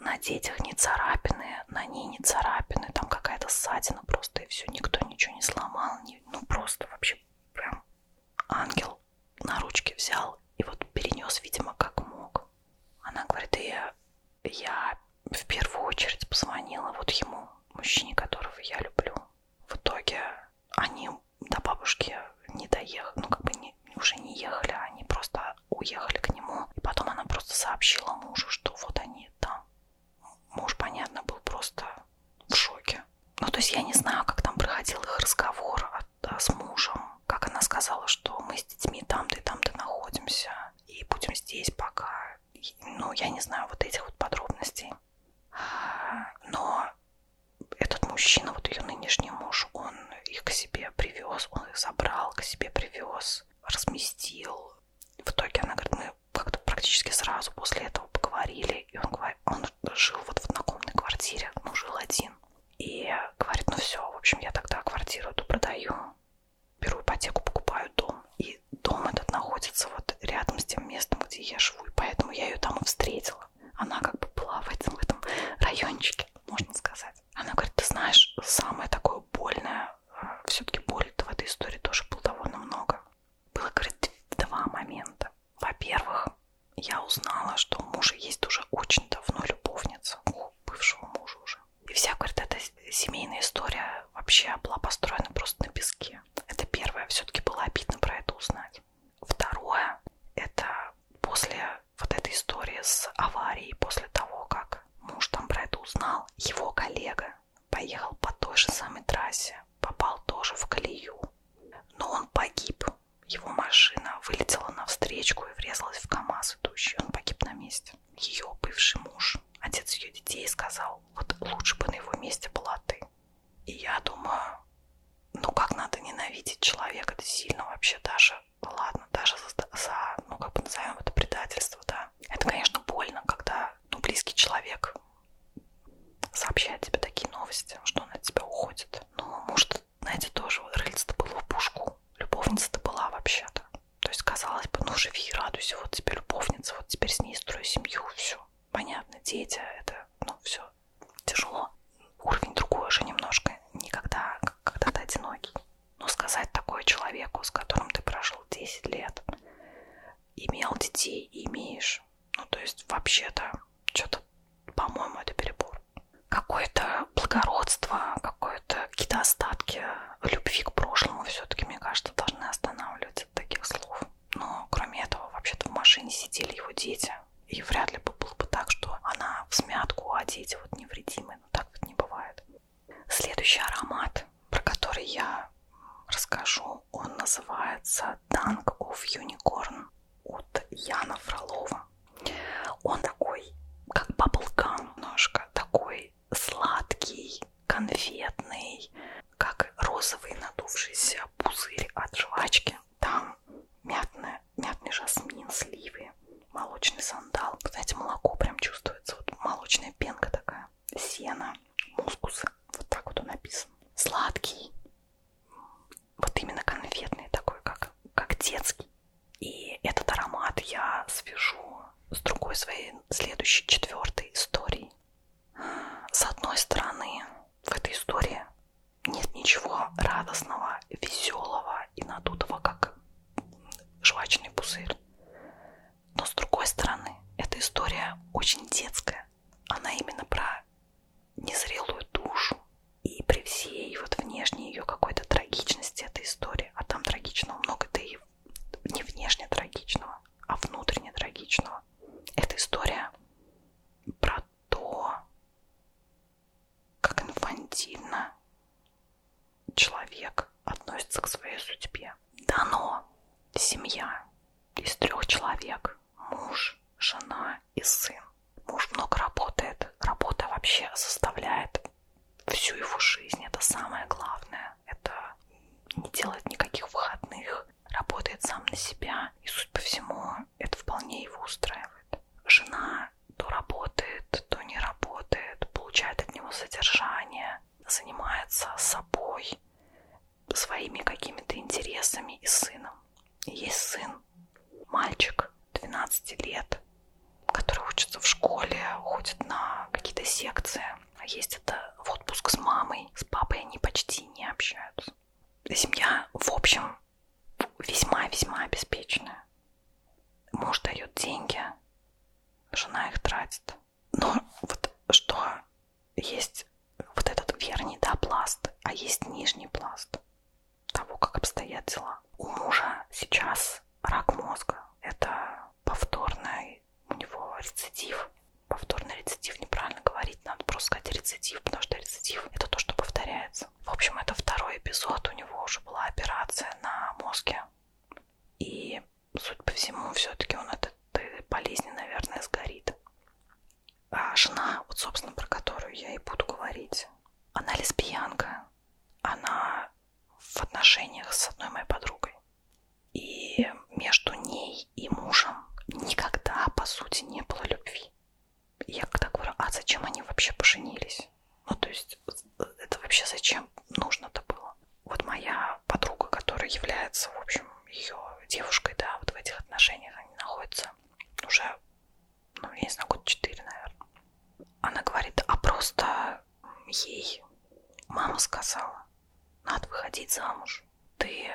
на детях не царапины, на ней не царапины, там какая-то ссадина просто, и все, никто ничего не сломал. Не, ну, просто вообще прям ангел на ручки взял и вот перенес, видимо, как мог. Она говорит, и я в первую очередь позвонила вот ему, мужчине, которого я люблю. В итоге они до бабушки не доехали, ну как бы не, уже не ехали, они просто уехали к нему. И потом она просто сообщила мужу, что вот они там. Муж, понятно, был просто в шоке. Ну то есть я не знаю, как там проходил их разговор а, да, с мужем. Как она сказала, что мы с детьми там-то и там-то находимся. И будем здесь пока ну, я не знаю вот этих вот подробностей. Но этот мужчина, вот ее нынешний муж, он их к себе привез, он их забрал, к себе привез, разместил. В итоге она говорит, мы как-то практически сразу после этого поговорили, и он, он жил вот в однокомнатной квартире, ну, жил один. И говорит, ну все, в общем, я тогда квартиру эту продаю беру ипотеку, покупаю дом, и дом этот находится вот рядом с тем местом, где я живу, и поэтому я ее там и встретила. Она как бы была в этом, в этом райончике, можно сказать. Она говорит, ты знаешь, самое такое больное, а, все-таки боли-то в этой истории тоже было довольно много. Было, говорит, два момента. Во-первых, я узнала, что у мужа есть уже очень давно любовница, у бывшего мужа уже. И вся, говорит, эта семейная история вообще была построена просто на песке. Это первое. Все-таки было обидно про это узнать. Второе, это после вот этой истории с аварией, после того, как муж там про это узнал, его коллега поехал по той же самой трассе, попал тоже в колею. Но он погиб. Его машина вылетела навстречу и врезалась в КАМАЗ идущий. Он погиб на месте. Ее бывший муж отец ее детей, и сказал, вот лучше бы на его месте была ты. И я думаю, ну как надо ненавидеть человека, это сильно вообще даже, ну ладно, даже за, за ну как бы назовем это предательство, да. Это, конечно, больно, когда, ну, близкий человек сообщает тебе такие новости, что он от тебя уходит. Но, ну, может, знаете, тоже рыльца-то было в пушку, любовница-то была вообще-то. То есть, казалось бы, ну живи, радуйся, вот теперь любовница, вот теперь с ней строю семью, все все понятно, дети, это, ну, все тяжело. Уровень другой уже немножко, никогда, когда ты одинокий. Но сказать такое человеку, с которым ты прожил 10 лет, имел детей, имеешь, ну, то есть вообще-то что-то, по-моему, это перебор. Какое-то благородство, какое-то какие-то остатки любви к прошлому все-таки, мне кажется, должны останавливать от таких слов. Но кроме этого, вообще-то в машине сидели его дети. И вряд ли бы было бы так, что она в смятку, а дети вот невредимы. Но ну, так вот не бывает. Следующий аромат, про который я расскажу, он называется Dunk of Unicorn от Яна Фролова. Он такой, как баблгам немножко, такой сладкий, конфетный, как розовый надувшийся пузырь от жвачки. Там мятное, мятный жасмин, сливы, молочный сандал. Знаете, молоко прям чувствуется. Вот молочная пенка такая. Сено, мускус. Вот так вот он написан. Сладкий. Вот именно конфетный такой, как, как детский. И этот аромат я свяжу с другой своей следующей, четвертой историей. С одной стороны, в этой истории нет ничего радостного, веселого и надутого, как жвачный пузырь. Но с другой стороны, эта история очень детская. Она именно про незрелую душу. И при всей вот внешней ее какой-то трагичности этой истории, а там трагичного много, да и не внешне трагичного, а внутренне трагичного, это история про то, как инфантильно человек относится к своей судьбе. Дано семья из трех человек. Муж, жена и сын. Муж много работает. Работа вообще составляет всю его жизнь. Это самое главное это не делает никаких выходных, работает сам на себя, и, суть по всему, это вполне его устраивает. Жена то работает, то не работает, получает от него содержание, занимается собой, своими какими-то интересами и сыном. И есть сын, мальчик 12 лет, который учится в школе, ходит на какие-то секции, а есть это в отпуск с мамой, с папой они почти не общаются. Семья, в общем, весьма-весьма обеспеченная. Муж дает деньги, жена их тратит. Но вот что есть вот этот верхний да, пласт, а есть нижний пласт того, как обстоят дела. У мужа сейчас рак мозга. Это повторный если у него рецидив, повторный рецидив, неправильно говорить, надо просто сказать рецидив, потому что рецидив это то, что повторяется. В общем, это второй эпизод, у него уже была операция на мозге. И, судя по всему, все-таки он от этой болезни, наверное, сгорит. А жена, вот, собственно, про которую я и буду говорить, она лесбиянка. Она в отношениях с одной моей подругой. И между ней и мужем никогда, по сути, не было любви. Я когда говорю, а зачем они вообще поженились? Ну, то есть, э, это вообще зачем нужно-то было? Вот моя подруга, которая является, в общем, ее девушкой, да, вот в этих отношениях они находятся уже, ну, я не знаю, год четыре, наверное. Она говорит, а просто ей мама сказала, надо выходить замуж. Ты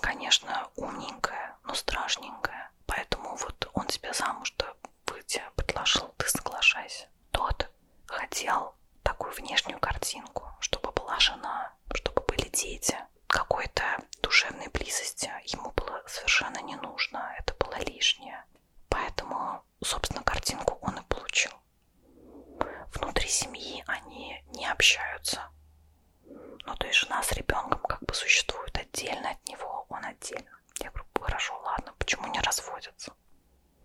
конечно, умненькая, но страшненькая. Поэтому вот он тебя замуж-то выйти предложил, ты соглашайся. Тот хотел такую внешнюю картинку, чтобы была жена, чтобы были дети. Какой-то душевной близости ему было совершенно не нужно, это было лишнее. Поэтому, собственно, картинку он и получил. Внутри семьи они не общаются. Ну, то есть жена с ребенком как бы существует отдельно от него, он отдельно. Я говорю, хорошо, ладно, почему не разводятся?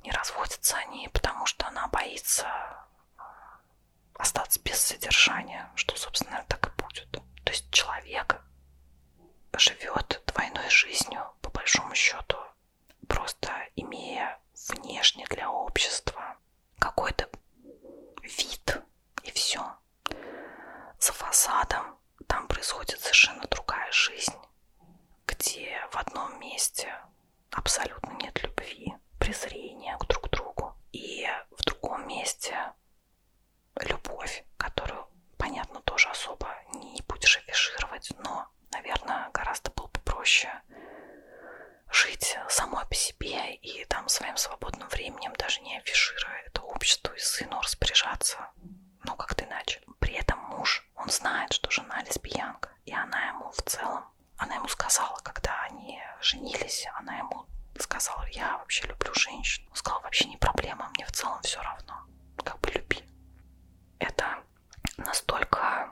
Не разводятся они, потому что она боится э, остаться без содержания, что, собственно, так и будет. То есть человек живет двойной жизнью, по большому счету, просто имея внешне для общества какой-то вид и все. За фасадом там происходит совершенно другая жизнь, где в одном месте абсолютно нет любви, презрения к друг другу, и в другом месте любовь, которую, понятно, тоже особо не будешь афишировать, но, наверное, гораздо было бы проще жить самой по себе и там своим свободным временем, даже не афишируя это обществу и сыну распоряжаться, ну как-то иначе. При этом муж, он знает, что жена лесбиянка, и она ему в целом, она ему сказала, когда они женились, она ему сказала, я вообще люблю женщин. Он сказал, вообще не проблема, мне в целом все равно, как бы люби. Это настолько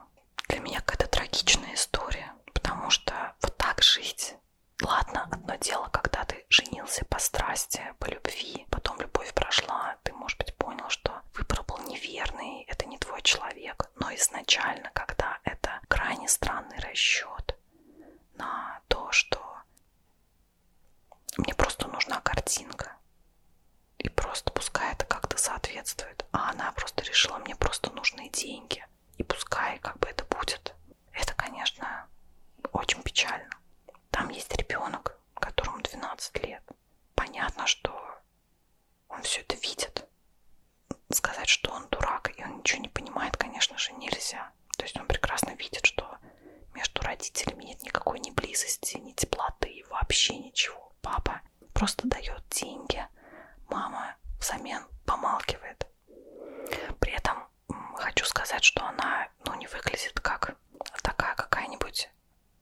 для меня какая-то трагичная история, потому что вот так жить. Ладно, одно дело, когда ты женился по страсти, по любви, потом любовь прошла, ты, может быть, понял, что выбор был неверный, это не твой человек. Но изначально, когда это крайне странный расчет на то, что мне просто нужна картинка, и просто пускай это как-то соответствует, а она просто решила, мне просто нужны деньги. И пускай как бы это будет. Это, конечно, очень печально. Там есть ребенок, которому 12 лет. Понятно, что он все это видит. Сказать, что он дурак и он ничего не понимает, конечно же, нельзя. То есть он прекрасно видит, что между родителями нет никакой ни близости, ни теплоты, вообще ничего. Папа просто дает деньги. Мама она взамен помалкивает. При этом хочу сказать, что она ну, не выглядит как такая какая-нибудь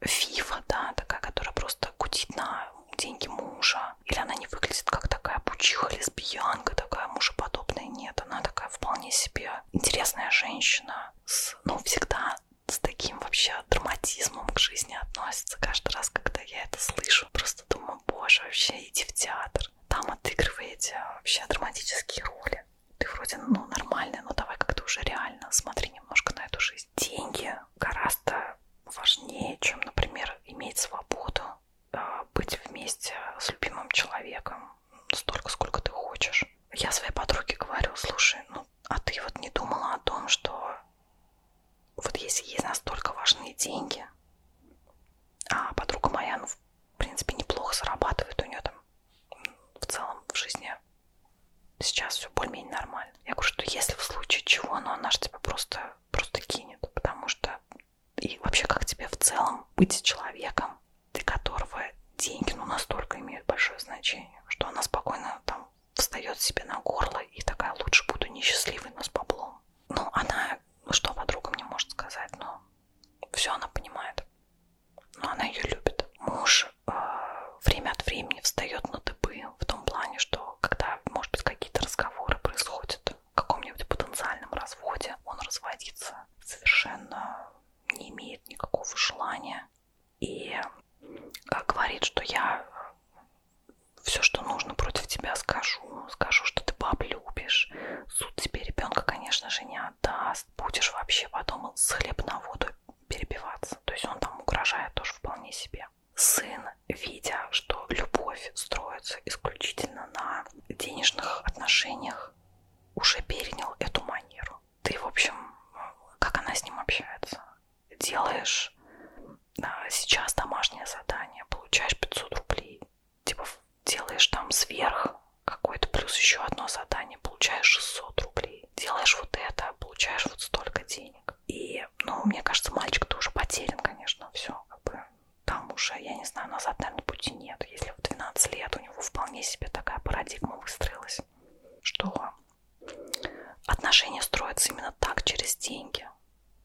фифа, да, такая, которая просто кутит на деньги мужа. Или она не выглядит как такая пучиха, лесбиянка, такая мужеподобная. Нет, она такая вполне себе интересная женщина. С, ну, всегда с таким вообще драматизмом к жизни относится. Каждый раз, когда я это слышу, просто думаю, о боже, вообще иди в театр. Там отыгрываете а, вообще драматические роли. Ты вроде, ну, нормальный, но давай как-то уже реально смотри немножко на эту жизнь. Деньги гораздо важнее, чем, например, иметь свободу, а, быть вместе с любимым человеком столько, сколько ты хочешь. Я своей подруге говорю, слушай, ну, а ты вот не думала о том, что вот если есть настолько важные деньги, а подруга моя, ну, в принципе, неплохо зарабатывает, у нее там в целом в жизни сейчас все более-менее нормально. Я говорю, что если в случае чего, ну, она же тебя просто, просто кинет, потому что и вообще как тебе в целом быть человеком, для которого деньги, ну, настолько имеют большое значение, что она спокойно там встает себе на горло и такая, лучше буду несчастливой, но с баблом ну, она, ну, что подруга мне может сказать, но ну, все она понимает. Но ну, она ее любит. Муж э, время от времени встает на дыбы в том плане, что когда, может быть, какие-то разговоры происходят в каком-нибудь потенциальном разводе, он разводится совершенно не имеет никакого желания и э, говорит, что я все, что нужно против тебя скажу. Скажу, что ты баб любишь. Суд тебе ребенка, конечно же, не отдаст. Будешь вообще потом с хлеб на воду перебиваться. То есть он там угрожает тоже вполне себе. Сын, видя, что любовь строится исключительно на денежных отношениях, уже перенял эту манеру. Ты, в общем, как она с ним общается? Делаешь а, сейчас домашнее задание, получаешь 500 рублей, типа делаешь там сверх какой-то, плюс еще одно задание, получаешь 600 рублей, делаешь вот это, а получаешь вот столько денег. И, ну, мне кажется, мальчик тоже потерян, конечно, все, как бы, там уже, я не знаю, назад, наверное, пути нет. Если в 12 лет у него вполне себе такая парадигма выстроилась, что отношения строятся именно так, через деньги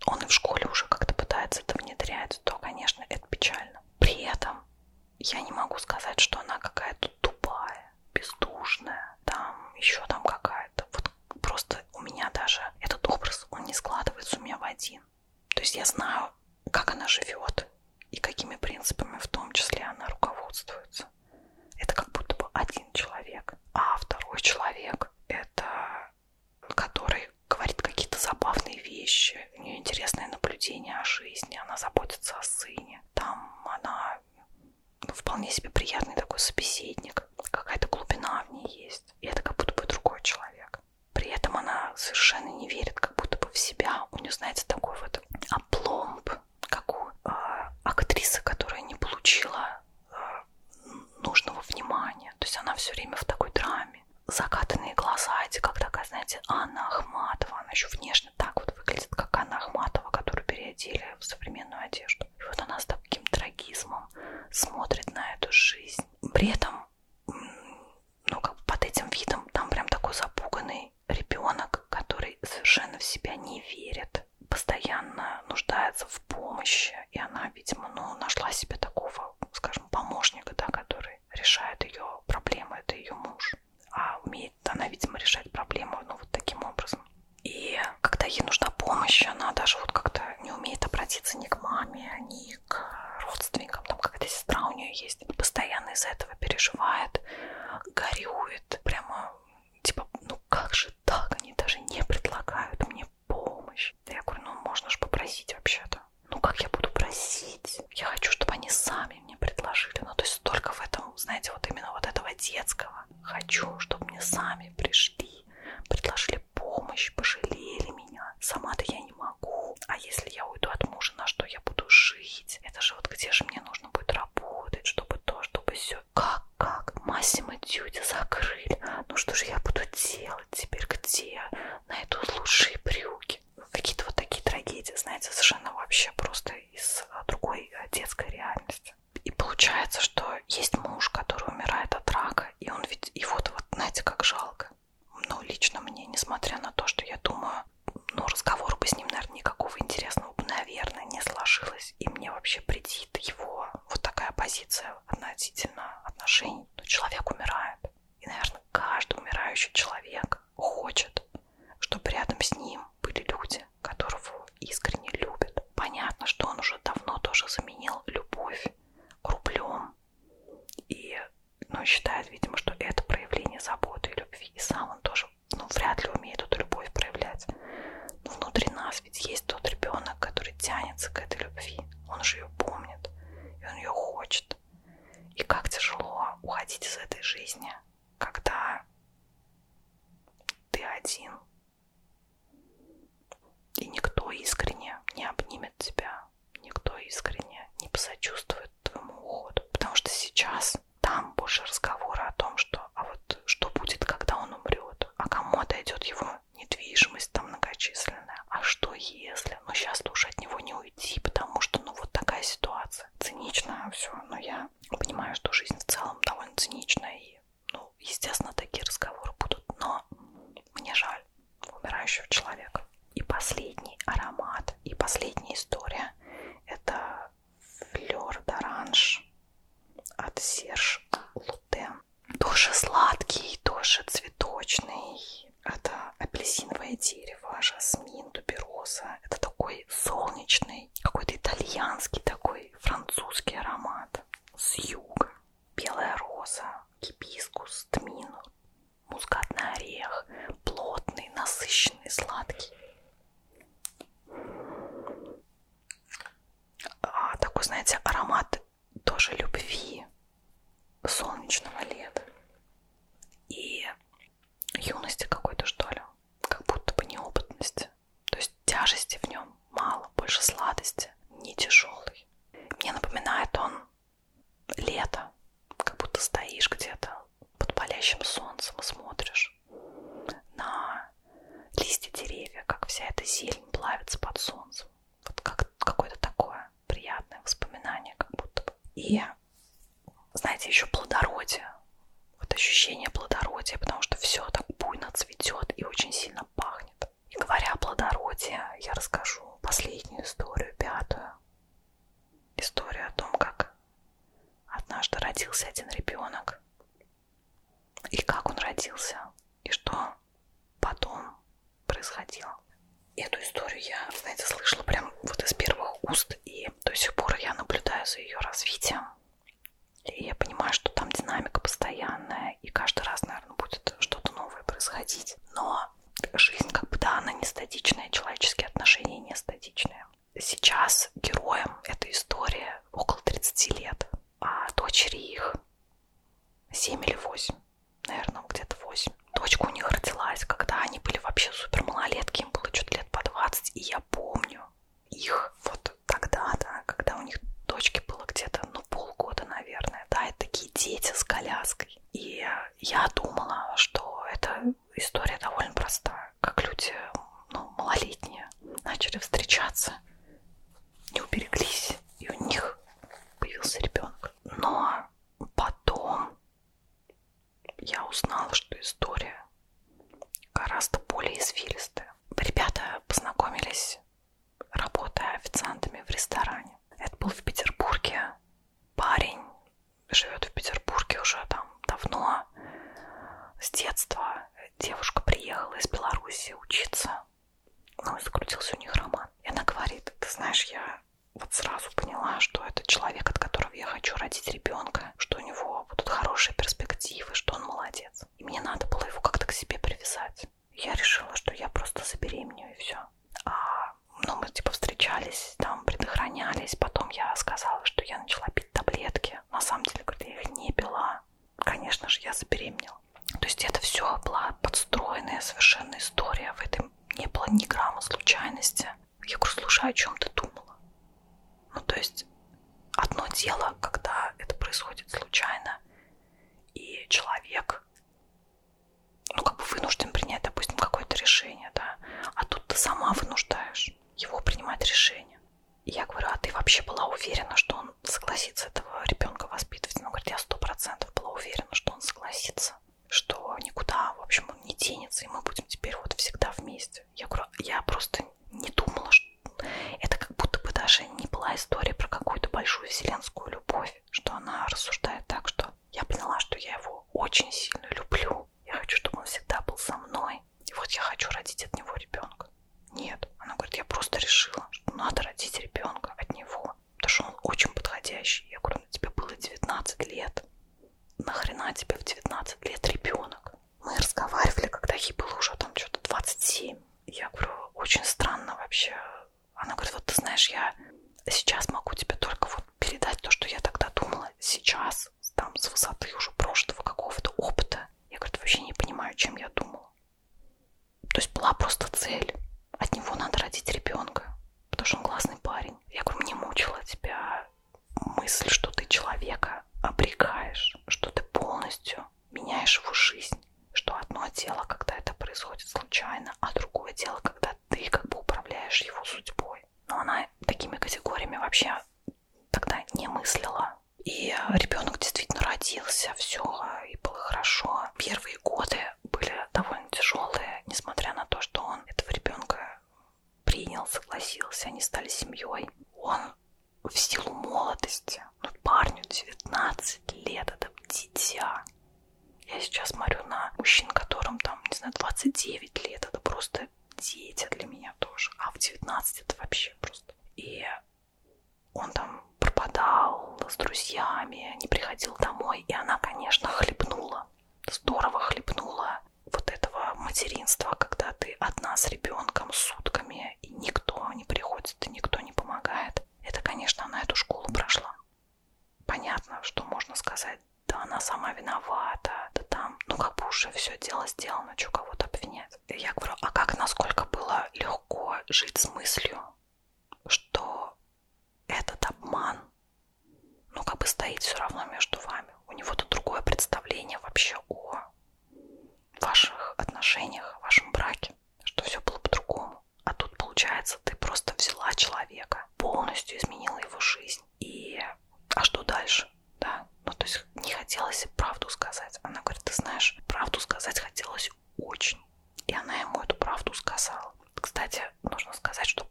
он и в школе уже как-то пытается это внедрять, то, конечно, это печально. При этом я не могу сказать, что она какая-то тупая, бездушная, там еще там какая-то. Вот просто у меня даже этот образ, он не складывается у меня в один. То есть я знаю, как она живет и какими принципами в том числе она руководствуется. Это как будто бы один человек, а второй человек это который говорит какие-то забавные вещи, у нее интересное наблюдение о жизни, она заботится о сыне. Там она ну, вполне себе приятный такой собеседник, какая-то глубина в ней есть. И это как будто бы другой человек. При этом она совершенно не верит как будто бы в себя. У нее, знаете, такой вот опломб, как у э, актрисы, которая не получила нужного внимания. То есть она все время в такой драме. Закатанные глаза эти, как такая, знаете, Анна Ахматова. Она еще внешне так вот выглядит, как Анна Ахматова, которую переодели в современную одежду. И вот она с таким трагизмом смотрит на эту жизнь. При этом, ну, как бы под этим видом, там прям такой запуганный ребенок, который совершенно в себя не верит, постоянно нуждается в помощи. И она, видимо, ну, нашла себе такого скажем, помощник, да, который решает ее проблемы, это ее муж. А умеет она, видимо, решать проблему, ну, вот таким образом. И когда ей нужна помощь, она даже вот как-то не умеет обратиться ни к маме, ни к родственникам. Там какая-то сестра у нее есть. Постоянно из-за этого переживает, горюет. Прямо типа, ну как же так? Они даже не предлагают мне помощь. Да я говорю, ну можно же попросить вообще-то. Ну как я буду просить? Я хочу, чтобы они сами мне предложили. Ну то есть только в этом, знаете, вот именно вот этого детского. Хочу, чтобы мне сами пришли, предложили помощь, пожалели меня. Сама-то я не могу. А если я уйду от мужа, на что я буду жить? Это же вот где же мне нужно будет работать, чтобы то, чтобы все. Как, как? Массимо Дюди закрыли. Ну что же я буду делать? делать теперь, где найдут лучшие брюки. Ну, какие-то вот такие трагедии, знаете, совершенно вообще просто из а, другой а, детской реальности. И получается, что есть муж, который умирает от рака, и он ведь, и вот, вот, знаете, как жалко. Но лично мне, несмотря на то, что я думаю, ну, разговор бы с ним, наверное, никакого интересного бы, наверное, не сложилось. И мне вообще претит его вот такая позиция относительно отношений ну, ну, человек умирает. И, наверное, каждый умирающий человек хочет, чтобы рядом с ним были люди, которого искренне любят. Понятно, что он уже давно тоже заменил любовь рублем. И ну, считает, видимо, что это проявление заботы и любви. И сам он тоже ну, вряд ли умеет эту любовь проявлять. Но внутри нас ведь есть тот ребенок, который тянется к этой любви. Он же ее помнит, и он ее хочет. И как тяжело уходить из этой жизни, когда ты один. И никто искренне не обнимет тебя, никто искренне не посочувствует твоему уходу. Потому что сейчас там больше разговора о том, что а вот что будет, когда он умрет, а кому отойдет его недвижимость там многочисленная. А что если? Ну, сейчас тоже от него не уйти, потому что, ну, вот такая ситуация. Цинично все, но я понимаю, что жизнь в целом довольно циничная. И, ну, естественно, такие разговоры будут. Но мне жаль умирающего человека. И последний аромат, и последняя история – это флер д'оранж от Серж Лутен тоже сладкий, тоже цветочный. Это апельсиновое дерево, жасмин, тубероза. Это такой солнечный, какой-то итальянский такой французский аромат с юга. Белая роза, гибискус, тмин, мускатный орех, плотный, насыщенный, сладкий. А, такой, знаете, аромат тоже любви, солнечного лета и юности какой-то, что ли, как будто бы неопытности. То есть тяжести в нем мало, больше сладости, не тяжелый. Мне напоминает он лето, как будто стоишь где-то под палящим солнцем и смотришь на листья деревьев, как вся эта зелень плавится под солнцем. Вот как какое-то такое приятное воспоминание как будто бы. И, знаете, еще плодородие. Вот ощущение плодородия, потому что все так буйно цветет и очень сильно пахнет. И говоря о плодородии, я расскажу последнюю историю, пятую. Историю о том, как однажды родился один ребенок. И как он родился. И что потом происходило. Эту историю я, знаете, слышала прям вот из первых уст, и до сих пор я наблюдаю за ее развитием. И я понимаю, что там динамика постоянная, и каждый раз, наверное, будет что-то новое происходить. Но жизнь, как бы, да, она не статичная, человеческие отношения не статичные. Сейчас героям этой истории около 30 лет, а дочери их 7 или 8 наверное, где-то 8. Дочка у них родилась, когда они были вообще супер малолетки, им было что-то лет по 20, и я помню их вот тогда, да, когда у них дочке было где-то, ну, полгода, наверное, да, это такие дети с коляской. И я думала, что эта история довольно простая, как люди, ну, малолетние начали встречаться, не убереглись, и у них появился ребенок. Но потом я узнала, что история гораздо более извилистая. Ребята познакомились, работая официантами в ресторане. Это был в Петербурге. Парень живет в Петербурге уже там давно, с детства. Девушка приехала из Беларуси учиться ну, и закрутился у них роман. И она говорит, ты знаешь, я вот сразу поняла, что это человек, от которого я хочу родить ребенка, что у него будут хорошие перспективы, что он молодец. И мне надо было его как-то к себе привязать. Я решила, что я просто забеременею и все. А, ну, мы типа встречались, там предохранялись. Потом я сказала, что я начала пить таблетки. На самом деле, говорит, я их не пила. Конечно же, я забеременела. То есть это все была подстроенная совершенно история. В этом не было ни грамма случайности. Я говорю, слушай, о чем ты думала? Ну, то есть одно дело, когда это происходит случайно, и человек, ну, как бы вынужден принять, допустим, какое-то решение, да, а тут ты сама вынуждаешь его принимать решение. И я говорю, а ты вообще была уверена, что он согласится этого ребенка воспитывать? Он говорит, я сто процентов была уверена, что он согласится расстаться, что никуда, в общем, он не денется, и мы будем теперь вот всегда вместе. Я говорю, я просто не думала, что это как будто бы даже не была история про какую-то большую вселенскую любовь, что она рассуждает так, что я поняла, что я его очень сильно люблю. Я хочу, чтобы он всегда был со мной. И вот я хочу родить от него ребенка. Нет. Она говорит, я просто решила, что надо родить ребенка от него потому что он очень подходящий. Я говорю, «Ну, тебе было 19 лет. Нахрена тебе в 19 лет ребенок? Мы разговаривали, когда ей было уже там что-то 27. Я говорю, очень странно вообще. Она говорит, вот ты знаешь, я сейчас могу тебе только вот передать то, что я тогда думала сейчас, там с высоты уже прошлого какого-то опыта. Я говорю, вообще не понимаю, чем я думала. То есть была просто цель. От него надо родить ребенка, потому что он классный парень. Я говорю, мне мучила тебя мысль, что ты человека обрекаешь, что ты полностью меняешь его жизнь, что одно дело, когда это происходит случайно, а другое дело, когда ты как бы управляешь его судьбой. Но она такими категориями вообще тогда не мыслила. И ребенок действительно родился, все, и было хорошо первые годы были довольно тяжелые, несмотря на то, что он этого ребенка принял, согласился, они стали семьей. Он в силу молодости, ну парню 19 лет, это дитя. Я сейчас смотрю на мужчин, которым там, не знаю, 29 лет, это просто дети для меня тоже. А в 19 это вообще просто. И он там пропадал, гулял с друзьями, не приходил домой. И она, конечно, хлебнула, здорово хлебнула вот этого материнства, когда ты одна с ребенком сутками, и никто не приходит, и никто не помогает. Это, конечно, она эту школу прошла. Понятно, что можно сказать, да она сама виновата, да там, ну как бы уже все дело сделано, что кого-то обвинять. Я говорю, а как, насколько было легко жить с мыслью, что этот обман, ну, как бы стоит все равно между вами. У него-то другое представление вообще о ваших отношениях, о вашем браке, что все было по-другому. А тут, получается, ты просто взяла человека, полностью изменила его жизнь. И а что дальше? Да, ну то есть не хотелось правду сказать. Она говорит, ты знаешь, правду сказать хотелось очень. И она ему эту правду сказала. Кстати, нужно сказать, что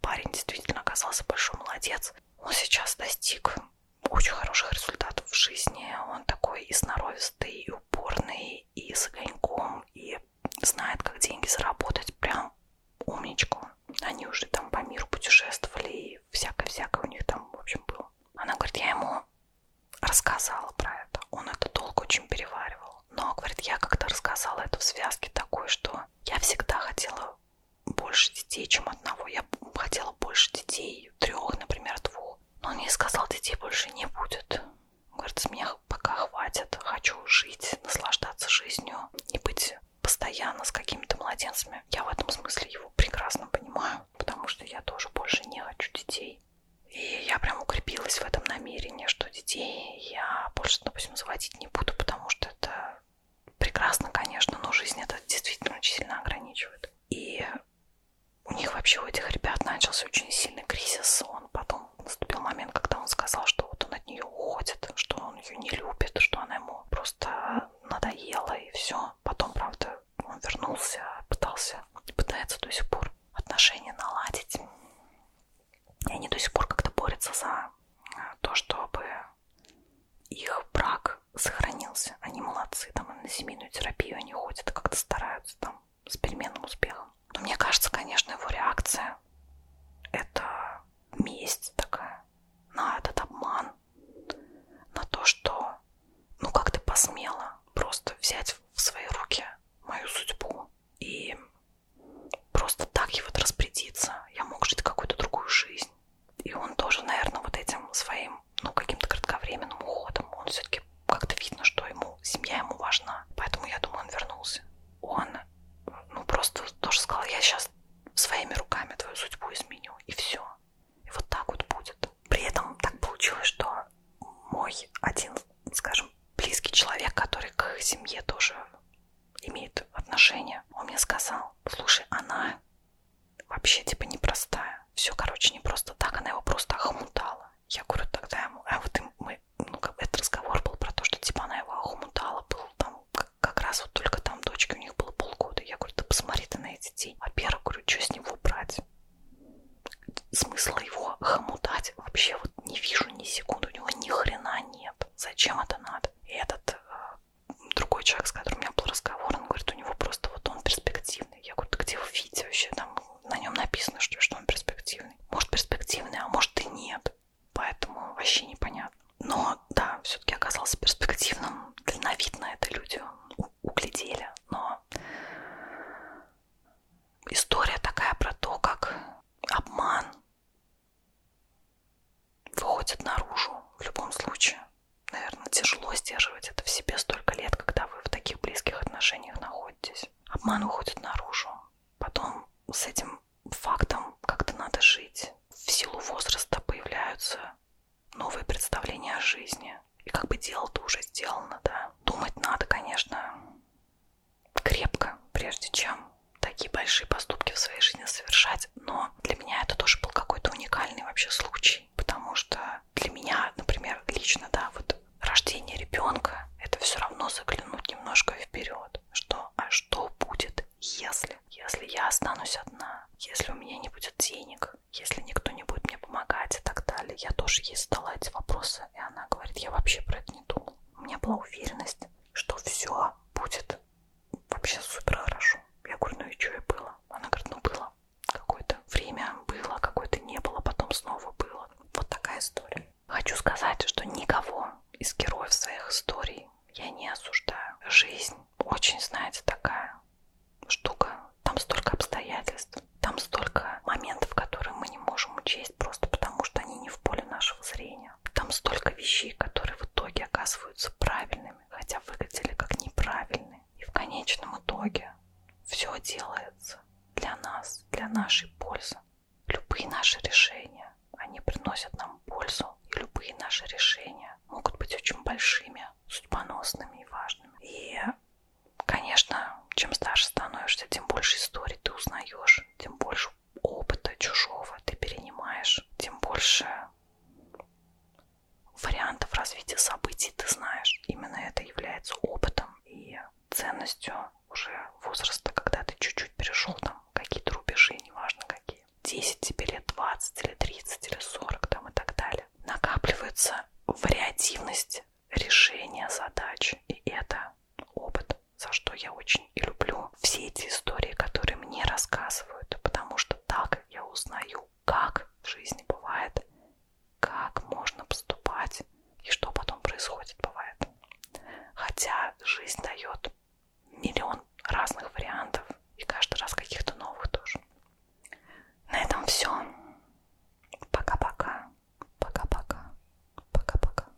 парень действительно оказался большой молодец. Он сейчас достиг очень хороших результатов в жизни. Он такой и сноровистый, и упорный, и с огоньком, и знает, как деньги заработать. Прям умничку. Они уже там по миру путешествовали, и всякое-всякое у них там, в общем, было. Она говорит, я ему рассказала про это. Он это долго очень переваривал смысл. Но, говорит, я как-то рассказала это в связке такой, что я всегда хотела больше детей, чем одного. Я хотела больше детей, трех, например, двух. Но он мне сказал, детей больше не будет. Он говорит, с меня пока хватит. Хочу жить, наслаждаться жизнью, не быть постоянно с какими-то младенцами. Я в этом смысле его прекрасно понимаю, потому что я тоже больше не хочу детей. И я прям укрепилась в этом намерении, что детей я больше, допустим, заводить не буду, потому что это прекрасно, конечно, но жизнь это действительно очень сильно ограничивает. И у них вообще, у этих ребят начался очень сильный кризис. Он потом наступил момент, когда он сказал, что вот он от нее уходит, что он ее не любит, что она ему просто надоела и все. Потом, правда, он вернулся, пытался, пытается до сих пор отношения наладить. И они до сих пор как-то борются за э, то, чтобы их брак сохранился. Они молодцы, там и на семейную терапию они ходят, как-то стараются там с переменным успехом. Но мне кажется, конечно, его реакция — это месть такая на этот обман, на то, что ну как ты посмела просто взять в свои руки мою судьбу, и просто так ей вот распорядиться. Я мог жить какую-то другую жизнь. И он тоже, наверное, вот этим своим, ну, каким-то кратковременным уходом, он все-таки как-то видно, что ему семья ему важна. Поэтому я думаю, он вернулся. Он, ну, просто тоже сказал, я сейчас своими руками твою судьбу изменю, и все. И вот так вот будет. При этом так получилось, что мой один скажем, близкий человек, который к их семье тоже имеет отношение, он мне сказал, слушай, она вообще типа непростая. Все, короче, не просто так, она его просто охмутала. Я говорю, тогда ему, а вот им, мы, ну, как бы этот разговор был про то, что типа она его охмутала, был там, как, как раз вот только там дочке у них было полгода. Я говорю, да посмотри ты на эти детей. Во-первых, говорю, что с него брать? Смысл его хомутать? писать. Вообще вот не вижу ни секунды, у него ни хрена нет. Зачем это надо? И этот э, другой человек, с которым у меня был разговор, он говорит, у него просто вот он перспективный. Я говорю, да где вы видите вообще? Там на нем написано, что, что он перспективный. Может перспективный, а может и нет. Поэтому вообще непонятно. Но да, все-таки оказался перспективным. Дальновидно это люди углядели. Но история такая про то, как обман выходит наружу в любом случае. Наверное, тяжело сдерживать это в себе столько лет, когда вы в таких близких отношениях находитесь. Обман уходит наружу. Потом с этим фактом как-то надо жить. В силу возраста появляются новые представления о жизни. И как бы дело-то уже сделано, да. Думать надо, конечно, крепко, прежде чем такие большие поступки в своей жизни совершать. Но для меня это тоже был какой-то уникальный вообще случай, потому что для меня, например, лично, да, вот рождение ребенка, это все равно заглянуть немножко вперед, что, а что будет, если, если я останусь одна, если у меня не будет денег, если никто не будет мне помогать и так далее. Я тоже ей задала эти вопросы, и она говорит, я вообще про это не думала. У меня была уверенность, что все будет вообще супер хорошо. Я говорю, ну и что и было? Она говорит, ну было. Какое-то время было, какое-то не было, потом снова было. Вот такая история. Хочу сказать, что никого из героев своих историй я не осуждаю. Жизнь очень, знаете, такая штука. Там столько обстоятельств, там столько моментов, которые мы не можем учесть просто потому, что они не в поле нашего зрения. Там столько вещей, которые в итоге оказываются правильными, хотя выглядели как неправильные. И в конечном итоге все делается для нас, для нашей пользы. Любые наши решения, они приносят нам пользу, и любые наши решения могут быть очень большими, судьбоносными и важными. И, конечно, чем старше становишься, тем больше историй ты узнаешь, тем больше опыта чужого ты перенимаешь, тем больше вариантов развития событий ты знаешь. Именно это является опытом и ценностью уже возраста, когда ты чуть-чуть перешел там какие-то рубежи, неважно какие. 10 тебе лет, 20 или 30 или 40 там и так далее. Накапливается вариативность решения задачи, и это опыт. Вот за что я очень и люблю все эти истории, которые мне рассказывают, потому что так я узнаю, как в жизни бывает, как можно поступать и что потом происходит бывает. Хотя жизнь дает миллион разных вариантов и каждый раз каких-то новых тоже. На этом все. Пока-пока. Пока-пока. Пока-пока.